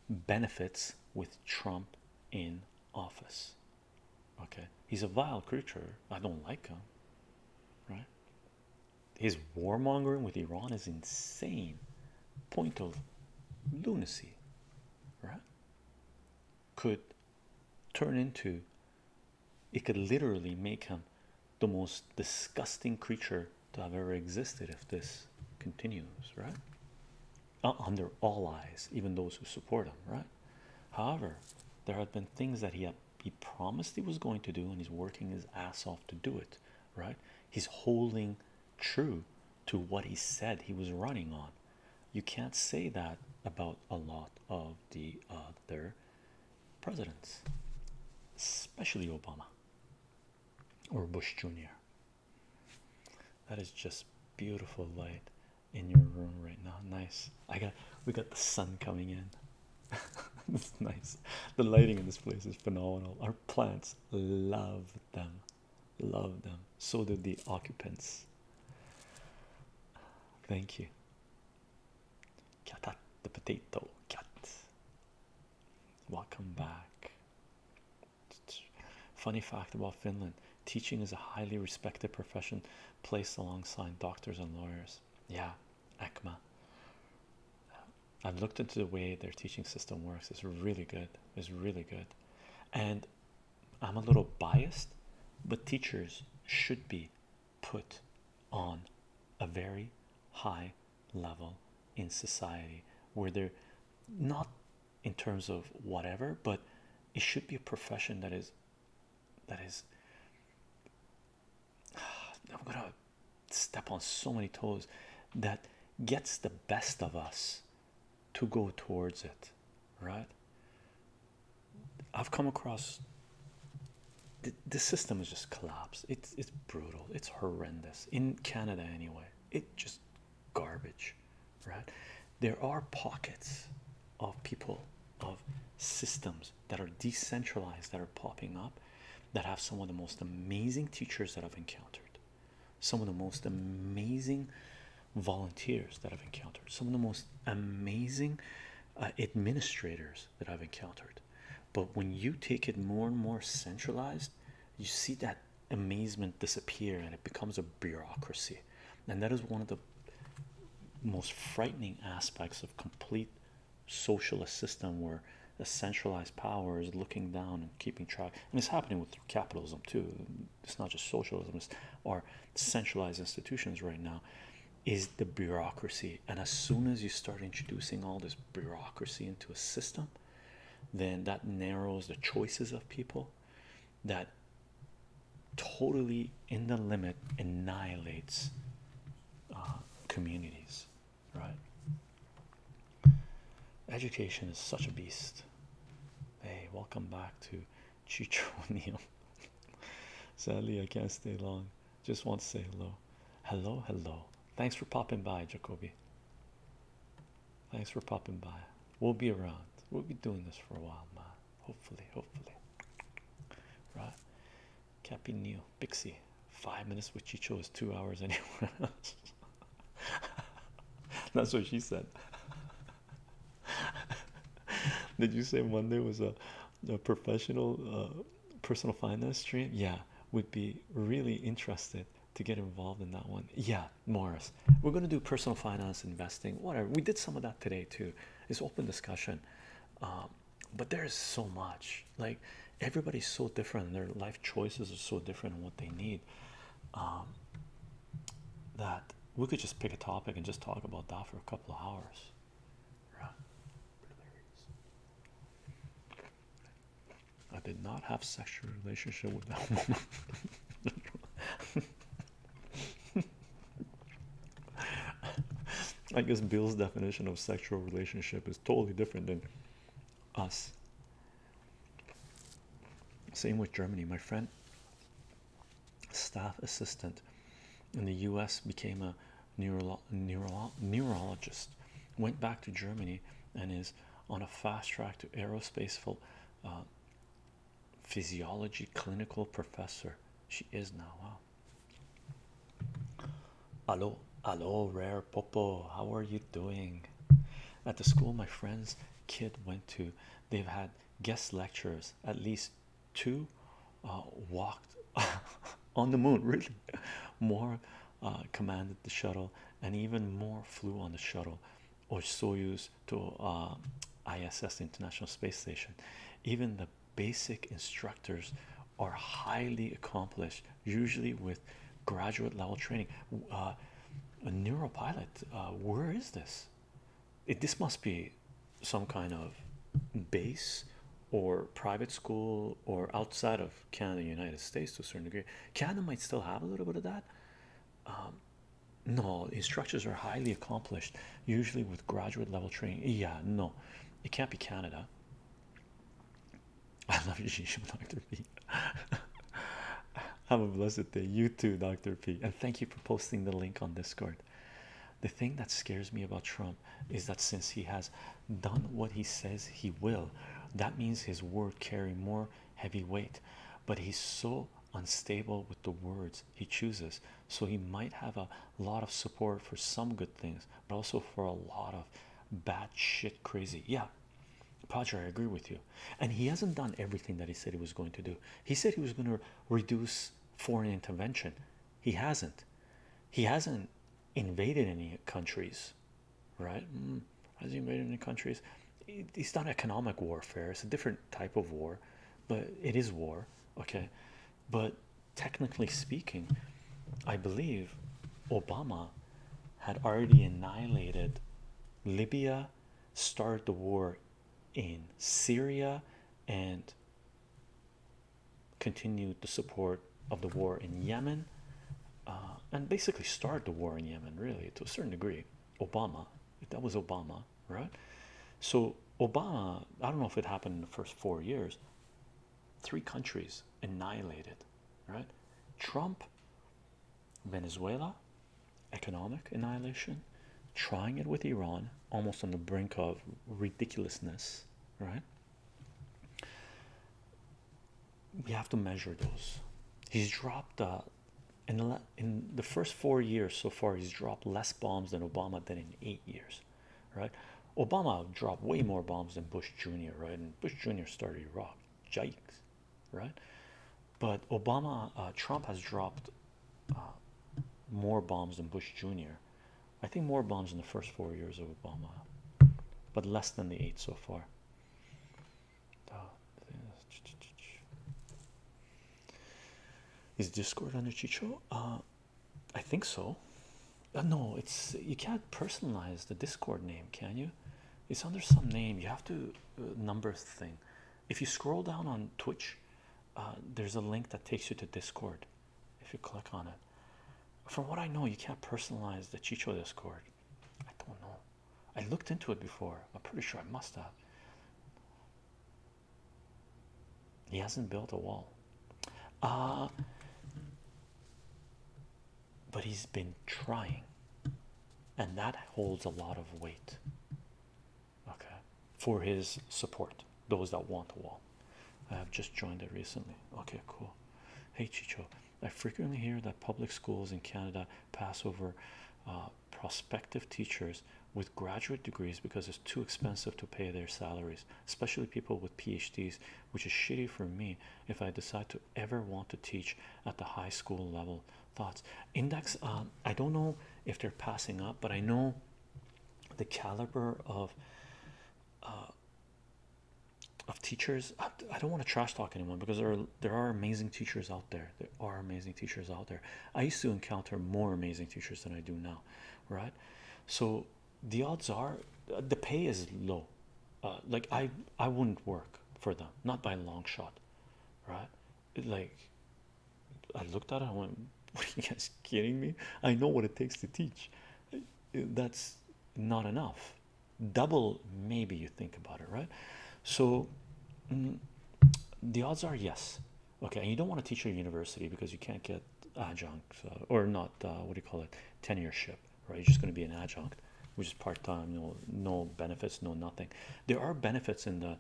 benefits with Trump in office. Okay, he's a vile creature. I don't like him, right? His warmongering with Iran is insane, point of lunacy, right? Could turn into it could literally make him the most disgusting creature to have ever existed if this continues, right? Uh, under all eyes, even those who support him, right? However, there have been things that he he promised he was going to do, and he's working his ass off to do it, right? He's holding true to what he said he was running on, you can't say that about a lot of the other presidents, especially Obama or Bush Jr. That is just beautiful light in your room right now. Nice. I got we got the sun coming in. it's nice. The lighting in this place is phenomenal. Our plants love them. Love them. So do the occupants. Thank you. Catat the potato cat. Welcome back. Funny fact about Finland teaching is a highly respected profession placed alongside doctors and lawyers. Yeah, ECMA. I've looked into the way their teaching system works, it's really good. It's really good. And I'm a little biased, but teachers should be put on a very high level in society where they're not in terms of whatever but it should be a profession that is that is i'm gonna step on so many toes that gets the best of us to go towards it right I've come across the, system is just collapsed. It's it's brutal. It's horrendous in Canada anyway. It just garbage, right? There are pockets of people of systems that are decentralized that are popping up that have some of the most amazing teachers that I've encountered. Some of the most amazing volunteers that I've encountered. Some of the most amazing uh, administrators that I've encountered. But when you take it more and more centralized, you see that amazement disappear and it becomes a bureaucracy. And that is one of the most frightening aspects of complete socialist system where a centralized power is looking down and keeping track. And it's happening with capitalism too. It's not just socialism, it's our centralized institutions right now is the bureaucracy. And as soon as you start introducing all this bureaucracy into a system, then that narrows the choices of people, that totally in the limit annihilates uh, communities, right? Education is such a beast. Hey, welcome back to Chicho Neal. Sadly, I can't stay long. Just want to say hello. Hello, hello. Thanks for popping by, Jacoby. Thanks for popping by. We'll be around. We'll be doing this for a while, ma. Hopefully, hopefully. Right. Cappy Neil, Pixie. Five minutes which Chicho chose, two hours anyway. That's what she said. Did you say Monday was a, a professional uh, personal finance stream? Yeah, would be really interested to get involved in that one. Yeah, Morris, we're going to do personal finance, investing, whatever. We did some of that today too. It's open discussion, um, but there is so much. Like everybody's so different, their life choices are so different, and what they need. Um, that we could just pick a topic and just talk about that for a couple of hours I did not have sexual relationship with that woman. I guess Bill's definition of sexual relationship is totally different than us. Same with Germany. My friend staff assistant in the US, became a neurologist, went back to Germany, and is on a fast track to aerospace full, uh, physiology clinical professor. She is now. Hello, hello, rare popo. How are you doing? At the school my friend's kid went to, they've had guest lecturers at least two uh, walked on the moon, really. More uh, commanded the shuttle, and even more flew on the shuttle or Soyuz to uh, ISS, International Space Station. Even the basic instructors are highly accomplished, usually with graduate level training. a neuropilot, uh, where is this? this must be some kind of base or private school or outside of Canada, United States to a certain degree. Canada might still have a little bit of that. Um, no, instructors are highly accomplished, usually with graduate level training. Yeah, no, it can't be Canada. I love you, Dr. P. Have a blessed day, you too, Dr. P. And thank you for posting the link on Discord. The thing that scares me about Trump is that since he has done what he says he will, that means his word carry more heavy weight. But he's so unstable with the words he chooses, so he might have a lot of support for some good things, but also for a lot of bad shit crazy. Yeah, Padre, I agree with you. And he hasn't done everything that he said he was going to do. He said he was going to reduce foreign intervention. He hasn't. He hasn't invaded any countries, right? Mm, has he invaded any countries? it's not economic warfare. It's a different type of war, but it is war. Okay, but technically speaking, I believe Obama had already annihilated Libya, started the war in Syria, and continued the support of the war in Yemen uh, and basically start the war in Yemen, really, to a certain degree. Obama, that was Obama, right? So, Obama, I don't know if it happened in the first four years, three countries annihilated, right? Trump, Venezuela, economic annihilation, trying it with Iran, almost on the brink of ridiculousness, right? We have to measure those. He's dropped uh, in the in the first four years so far. He's dropped less bombs than Obama than in eight years, right? Obama dropped way more bombs than Bush Jr. Right, and Bush Jr. started Iraq, yikes, right? But Obama, uh, Trump has dropped uh, more bombs than Bush Jr. I think more bombs in the first four years of Obama, but less than the eight so far. Is Discord under Chicho? Uh, I think so. Uh, no, it's you can't personalize the Discord name, can you? It's under some name. You have to uh, number thing. If you scroll down on Twitch, there's a link that takes you to Discord if you click on it. From what I know, you can't personalize the Chicho Discord. I don't know. I looked into it before. I'm pretty sure I must have. He hasn't built a wall. Uh, but he's been trying, and that holds a lot of weight. Okay for his support. Those that want a wall. I have just joined it recently. Okay, cool. Hey Chicho, I frequently hear that public schools in Canada pass over uh, prospective teachers with graduate degrees because it's too expensive to pay their salaries, especially people with PhDs, which is shitty for me if I decide to ever want to teach at the high school level. Thoughts? Index, um, I don't know if they're passing up, but I know the caliber of uh, of teachers. I, don't want to trash talk anyone because there are, there are amazing teachers out there. There are amazing teachers out there. I used to encounter more amazing teachers than I do now, right? So the odds are uh, the pay is low. Uh, like I I wouldn't work for them, not by a long shot, right? Like I looked at it, I went, "What are you guys kidding me? I know what it takes to teach, that's not enough double maybe you think about it right so mm, the odds are yes okay and you don't want to teach at a university because you can't get adjunct or not uh, what do you call it tenureship right you're just going to be an adjunct which is part-time no no benefits no nothing there are benefits in the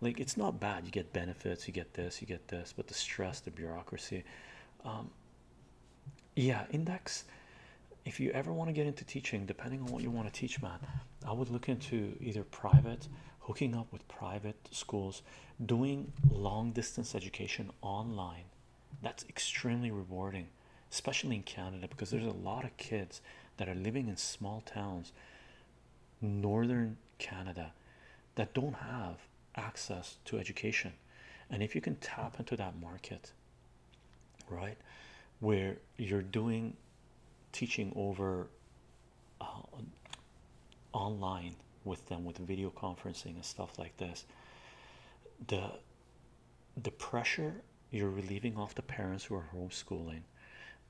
like it's not bad you get benefits you get this you get this but the stress the bureaucracy um, yeah index if you ever want to get into teaching depending on what you want to teach man i would look into either private hooking up with private schools doing long distance education online that's extremely rewarding especially in canada because there's a lot of kids that are living in small towns northern canada that don't have access to education and if you can tap into that market right where you're doing teaching over uh, online with them with video conferencing and stuff like this the the pressure you're relieving off the parents who are homeschooling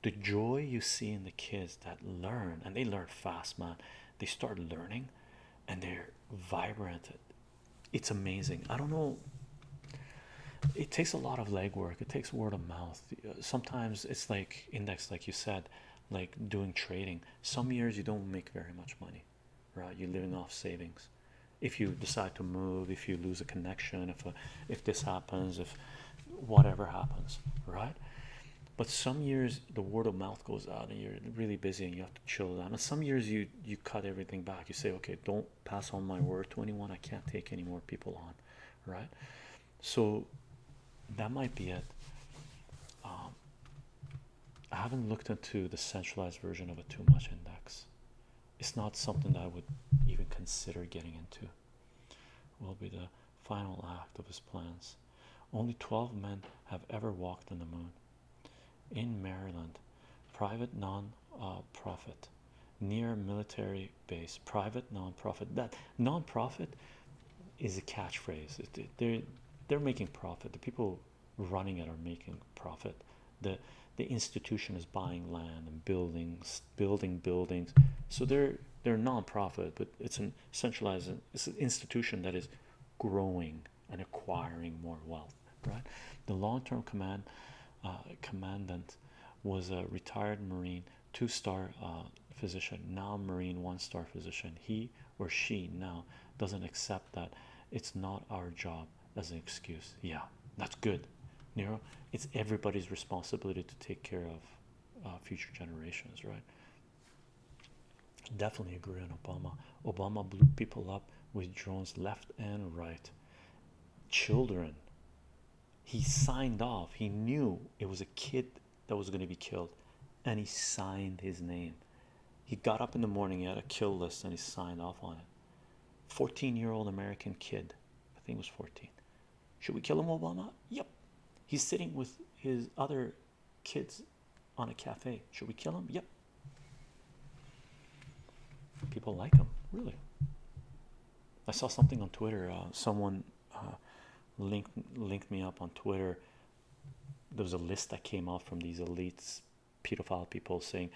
the joy you see in the kids that learn and they learn fast man they start learning and they're vibrant it's amazing i don't know it takes a lot of legwork it takes word of mouth sometimes it's like index like you said like doing trading some years you don't make very much money right you're living off savings if you decide to move if you lose a connection if if this happens if whatever happens right but some years the word of mouth goes out and you're really busy and you have to. Chill down. some years you you cut everything back. You say, okay, don't pass on my word to anyone. I can't take any more people on, right? So that might be it. Um, I haven't looked into the centralized version of a too much index. It's not something that I would even consider getting into. Will be the final act of his plans. Only twelve men have ever walked on the moon in Maryland, private non-profit near military base. Private non-profit. That non-profit is a catchphrase. they're they're making profit. The people running it are making profit. The the institution is buying land and buildings, building buildings. So they're they're non-profit, but it's a centralized. institution that is growing and acquiring more wealth right the long-term command uh, commandant was a retired marine two-star uh, physician now marine one-star physician he or she now doesn't accept that it's not our job as an excuse yeah that's good Nero it's everybody's responsibility to take care of uh, future generations right Definitely agree on Obama. Obama blew people up with drones left and right. Children, he signed off, he knew it was a kid that was going to be killed, and he signed his name. He got up in the morning, he had a kill list, and he signed off on it. 14 year old American kid, I think it was 14. Should we kill him, Obama? Yep. He's sitting with his other kids on a cafe. Should we kill them? Yep. People like them, really. I saw something on Twitter. Uh, someone uh, linked linked me up on Twitter. There was a list that came out from these elites, pedophile people, saying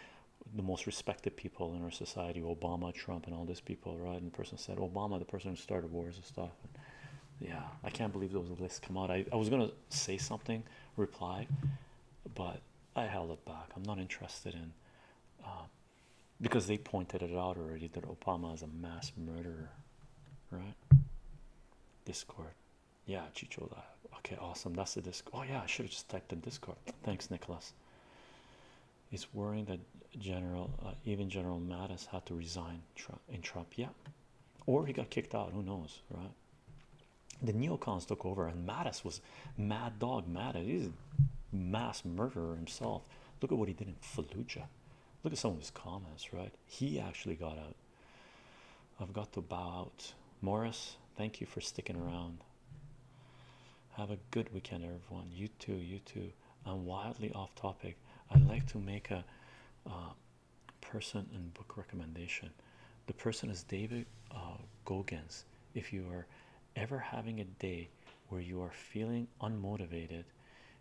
the most respected people in our society: Obama, Trump, and all these people. Right? And the person said Obama, the person who started wars and stuff. yeah, I can't believe those lists come out. I was gonna say something reply, but I held it back. I'm not interested in uh, because they pointed it out already that Obama is a mass murderer, right? Discord, yeah, Chicho. okay, awesome. That's the disc. Oh, yeah, I should have just typed in Discord. Thanks, Nicholas. It's worrying that General, uh, even General Mattis, had to resign in Trump, yeah, or he got kicked out. Who knows, right? The neocons took over, and Mattis was mad dog Mattis. He's a mass murderer himself. Look at what he did in Fallujah. Look at some of his comments, right? He actually got out. I've got to bow out. Morris, thank you for sticking around. Have a good weekend, everyone. You too, you too. I'm wildly off topic. I'd like to make a uh, person and book recommendation. The person is David uh, If you are ever having a day where you are feeling unmotivated,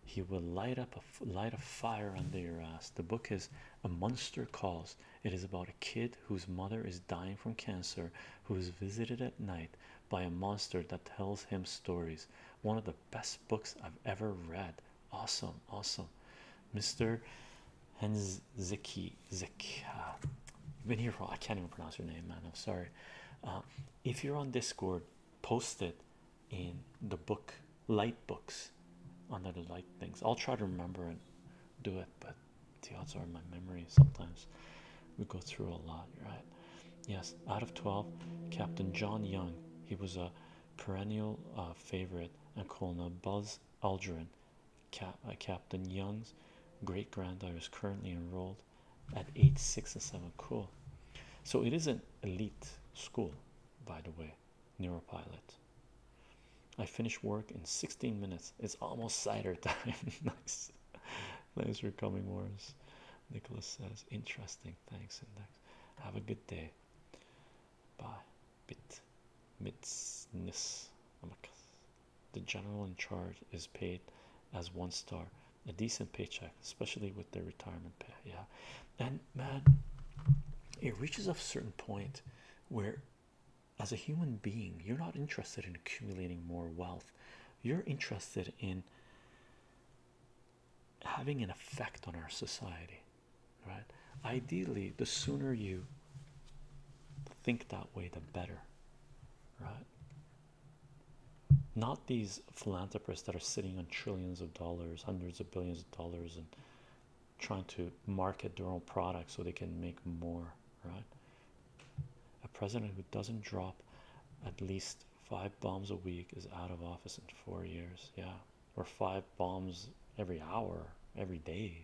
he will light up a light a fire under your ass. The book is A Monster Calls. It is about a kid whose mother is dying from cancer, who is visited at night by a monster that tells him stories. One of the best books I've ever read. Awesome, awesome, Mr. Henzeki Zek. Ah, you've been here for I can't even pronounce your name, man. I'm sorry. Uh, if you're on Discord, post it in the book light books under the light things. I'll try to remember and do it, but the odds are in my memory sometimes we go through a lot, right? Yes, out of 12, Captain John Young, he was a perennial uh, favorite, and Colonel Buzz Aldrin, Cap uh, Captain Young's great granddaughter is currently enrolled at age six and seven. Cool. So it is an elite school, by the way. Neuropilot. I finished work in 16 minutes. It's almost cider time. nice. Thanks for coming, Morris. Nicholas says, interesting. Thanks, Index. Have a good day. Bye bit mitzness the general in charge is paid as one star a decent paycheck especially with their retirement pay yeah and man it reaches a certain point where as a human being you're not interested in accumulating more wealth you're interested in having an effect on our society right? Ideally, the sooner you think that way, the better, right? Not these philanthropists that are sitting on trillions of dollars, hundreds of billions of dollars, and trying to market their own product so they can make more, right? A president who doesn't drop at least five bombs a week is out of office in four years. Yeah or five bombs every hour, every day.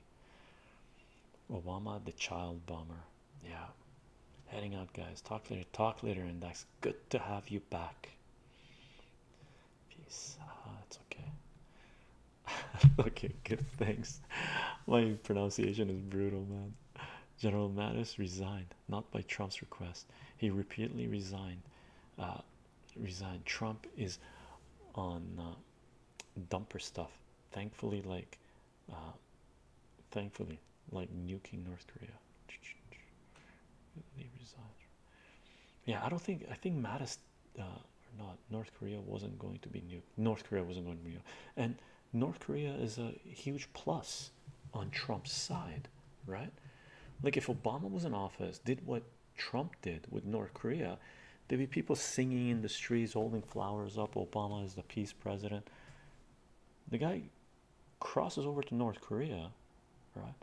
Obama, the child bomber. Yeah. Heading out, guys. Talk later. Talk later, Index. Good to have you back. Peace. Ah, it's okay. okay, good. Thanks. My pronunciation is brutal, man. General Mattis resigned, not by Trump's request. He repeatedly resigned. Uh, resigned. Trump is on uh, dumper stuff. Thankfully, like, uh, thankfully, like nuking North Korea. Yeah, I don't think I think Mattis uh, or not North Korea wasn't going to be nuked. North Korea wasn't going to be nuked, and North Korea is a huge plus on Trump's side, right? Like if Obama was in office, did what Trump did with North Korea. There'd be people singing in the streets, holding flowers up. Obama is the peace president. The guy crosses over to North Korea, right?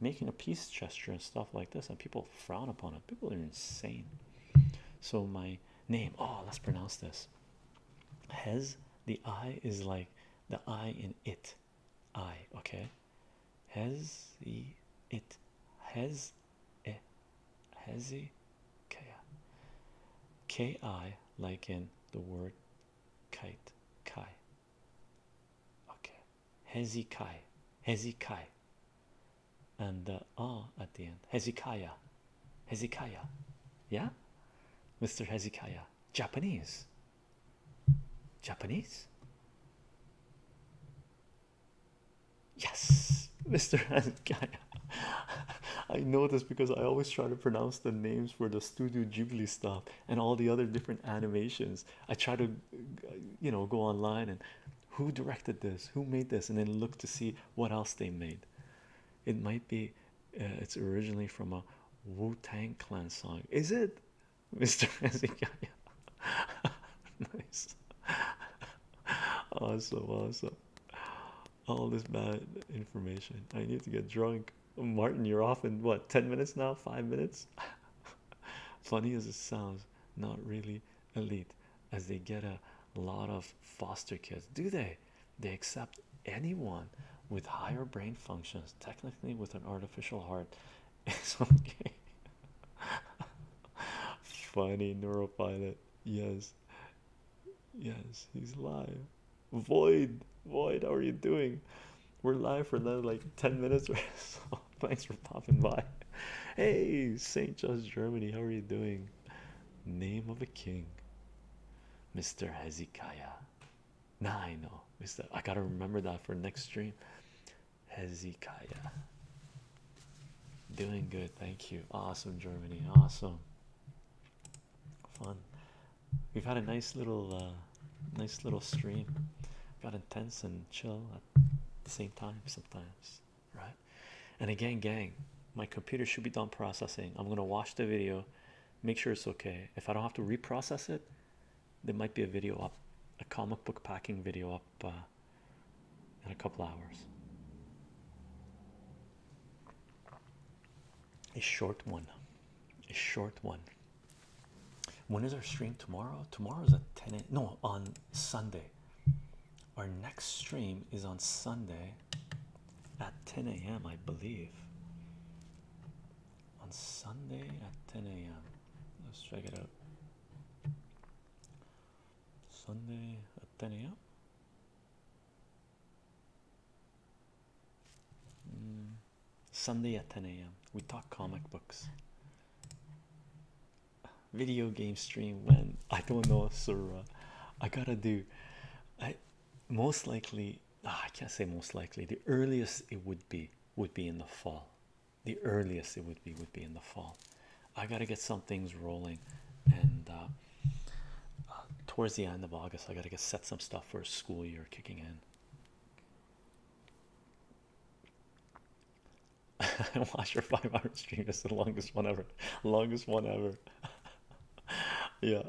Making a peace gesture and stuff like this, and people frown upon it. People are insane. So, my name, oh, let's pronounce this. Has the I is like the I in it. I, okay. Has the it. has e Hezekiah. kaya ki like in the word kite kai okay hezekai hezekai and the ah at the end hezekiah hezekiah yeah mr hezekiah japanese japanese Yes, Mr. I know this because I always try to pronounce the names for the Studio Ghibli stuff and all the other different animations. I try to, you know, go online and who directed this, who made this, and then look to see what else they made. It might be uh, it's originally from a Wu Tang Clan song. Is it, Mr. nice. Awesome, awesome. All this bad information. I need to get drunk. Martin, you're off in what 10 minutes now? Five minutes? Funny as it sounds, not really elite as they get a lot of foster kids, do they? They accept anyone with higher brain functions, technically with an artificial heart. Funny neuro pilot, Yes. Yes, he's live. Void, void, how are you doing? We're live for like 10 minutes so. Thanks for popping by. Hey, St. John's, Germany, how are you doing? Name of a king, Mr. Hezekiah. nah, I know, Mr. I gotta remember that for next stream. Hezekiah. Doing good, thank you. Awesome, Germany. Awesome. Fun. We've had a nice little, uh, nice little stream. Got intense and chill at the same time sometimes, right? And again, gang, my computer should be done processing. I'm gonna watch the video, make sure it's okay. If I don't have to reprocess it, there might be a video up, a comic book packing video up uh, in a couple hours. A short one, a short one. When is our stream tomorrow? Tomorrow is at 10 a.m. No, on Sunday. Our next stream is on Sunday at 10 a.m. I believe. On Sunday at 10 a.m. Let's check it out. Sunday at 10 a.m. Mm, Sunday at 10 a.m. We talk comic mm. books. Video game stream when I don't know, sir. I gotta do. I most likely. Ah, I can't say most likely. The earliest it would be would be in the fall the earliest it would be would be in the fall i got to get some things rolling and uh, uh, towards the end of august i got to get set some stuff for a school year kicking in I watched your five hour stream. It's the longest one ever. Longest one ever. yeah,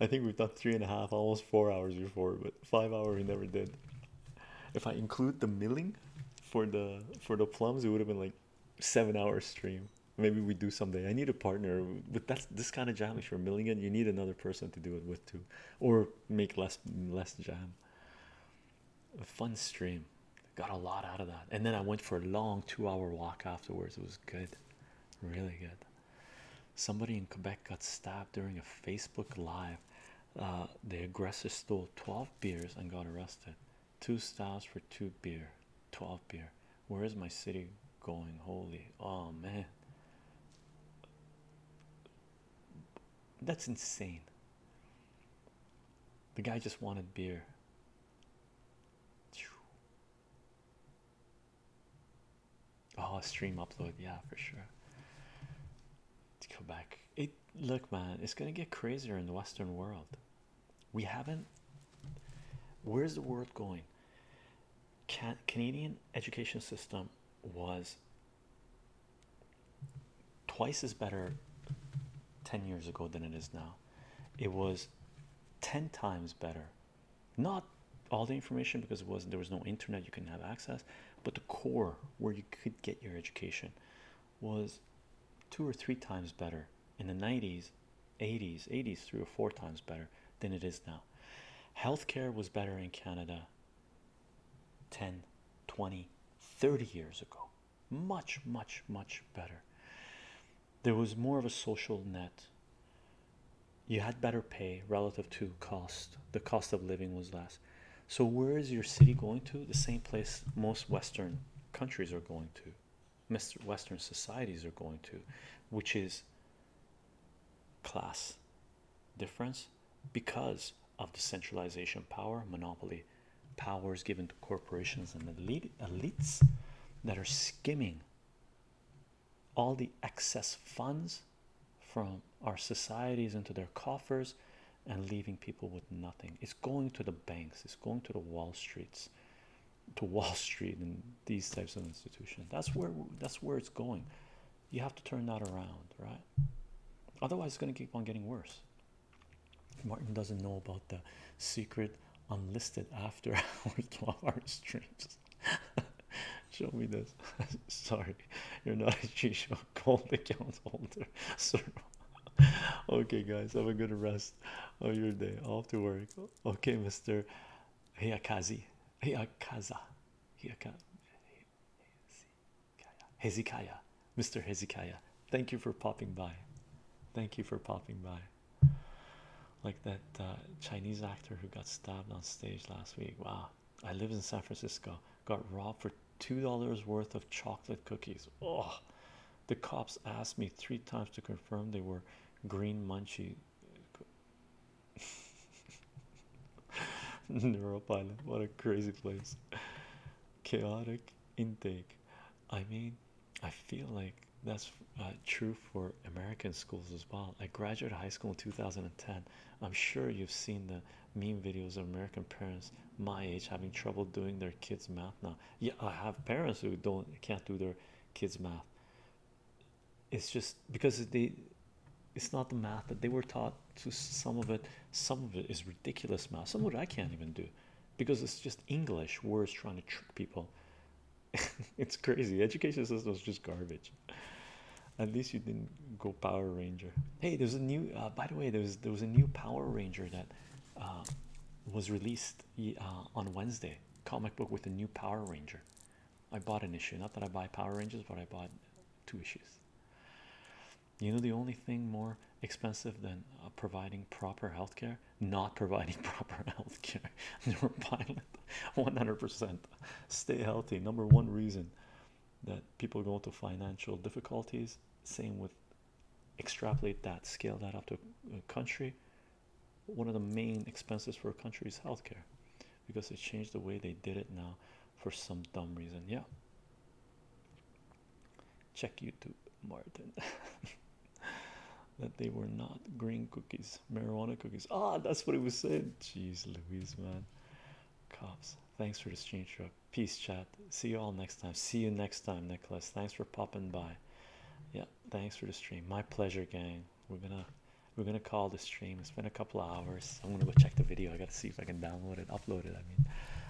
I think we've done three and a half, almost four hours before, but five hour we never did. If I include the milling for the for the plums, it would have been like seven hour stream. Maybe we do someday. I need a partner But that's this kind of jam. If you're milling it, you need another person to do it with too, or make less less jam. A fun stream. Got a lot out of that, and then I went for a long two hour walk afterwards. It was good, really good. Somebody in Quebec got stabbed during a Facebook live. Uh, the aggressor stole 12 beers and got arrested two styles for two beer 12 beer where is my city going holy oh man that's insane the guy just wanted beer oh stream upload yeah for sure to go back it look man it's gonna get crazier in the western world we haven't where's the world going Can, canadian education system was twice as better 10 years ago than it is now it was 10 times better not all the information because it was there was no internet you can have access but the core where you could get your education was two or three times better in the 90s 80s 80s three or four times better than it is now healthcare was better in canada 10 20 30 years ago much much much better there was more of a social net you had better pay relative to cost the cost of living was less so where is your city going to the same place most western countries are going to, Mr. Western societies are going to, which is class difference because of the centralization power, monopoly powers given to corporations and elite, elites that are skimming all the excess funds from our societies into their coffers and leaving people with nothing. It's going to the banks, it's going to the Wall Streets, to Wall Street and these types of institutions. That's where that's where it's going. You have to turn that around, right? Otherwise, it's going to keep on getting worse. Martin doesn't know about the secret unlisted after our 12 hour streams. Show me this. Sorry, you're not a G Show gold account holder. Sir. okay, guys, have a good rest rest of your day off to work. Okay, Mr. Hiyakazi. Hiyakaza. Hiyaka Hezekiah. Mr. Hezekiah. Thank you for popping by. Thank you for popping by. Like that uh, Chinese actor who got stabbed on stage last week. Wow. I live in San Francisco. Got robbed for two dollars worth of chocolate cookies. Oh, the cops asked me three times to confirm they were green munchie. Neuropilot, what a crazy place. Chaotic intake. I mean, I feel like that's uh, true for American schools as well. I graduated high school in 2010. I'm sure you've seen the meme videos of American parents my age having trouble doing their kids' math now yeah i have parents who don't can't do their kids math it's just because they it's not the math that they were taught to some of it some of it is ridiculous math some of it i can't even do because it's just english words trying to trick people it's crazy education system is just garbage at least you didn't go power ranger hey there's a new uh, by the way there was there was a new power ranger that uh, was released uh, on Wednesday comic book with a new Power Ranger. I bought an issue. Not that I buy Power Rangers, but I bought two issues. You know the only thing more expensive than uh, providing proper health care? Not providing proper health care. Neuropilot, 100%. Stay healthy. Number one reason that people go into financial difficulties. Same with extrapolate that, scale that up to a country. One of the main expenses for a country is healthcare because they changed the way they did it now for some dumb reason. Yeah, check YouTube, Martin. that they were not green cookies, marijuana cookies. Ah, that's what it was saying. Jeez, Louise, man. Cops, thanks for this change up. Peace, chat. See you all next time. See you next time, Nicholas. Thanks for popping by. Yeah, thanks for the stream. My pleasure, gang. We're gonna we're gonna call the stream. It's been a couple hours. I'm gonna go check the video. I gotta see if I can download it, upload it. I mean,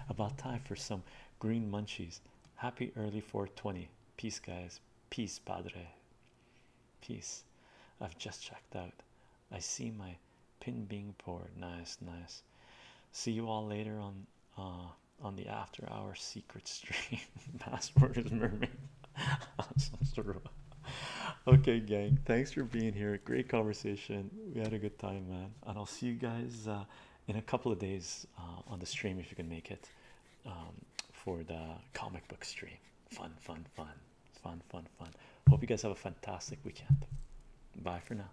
about time for some green munchies. Happy early 420. Peace, guys. Peace, Padre. Peace. I've just checked out. I see my pin being poured. Nice, nice. See you all later on uh, on the after hour secret stream. Password is mermaid. okay, gang, thanks for being here. Great conversation. We had a good time, man. And I'll see you guys uh, in a couple of days uh, on the stream if you can make it um, for the comic book stream. Fun, fun, fun, fun, fun, fun. Hope you guys have a fantastic weekend. Bye for now.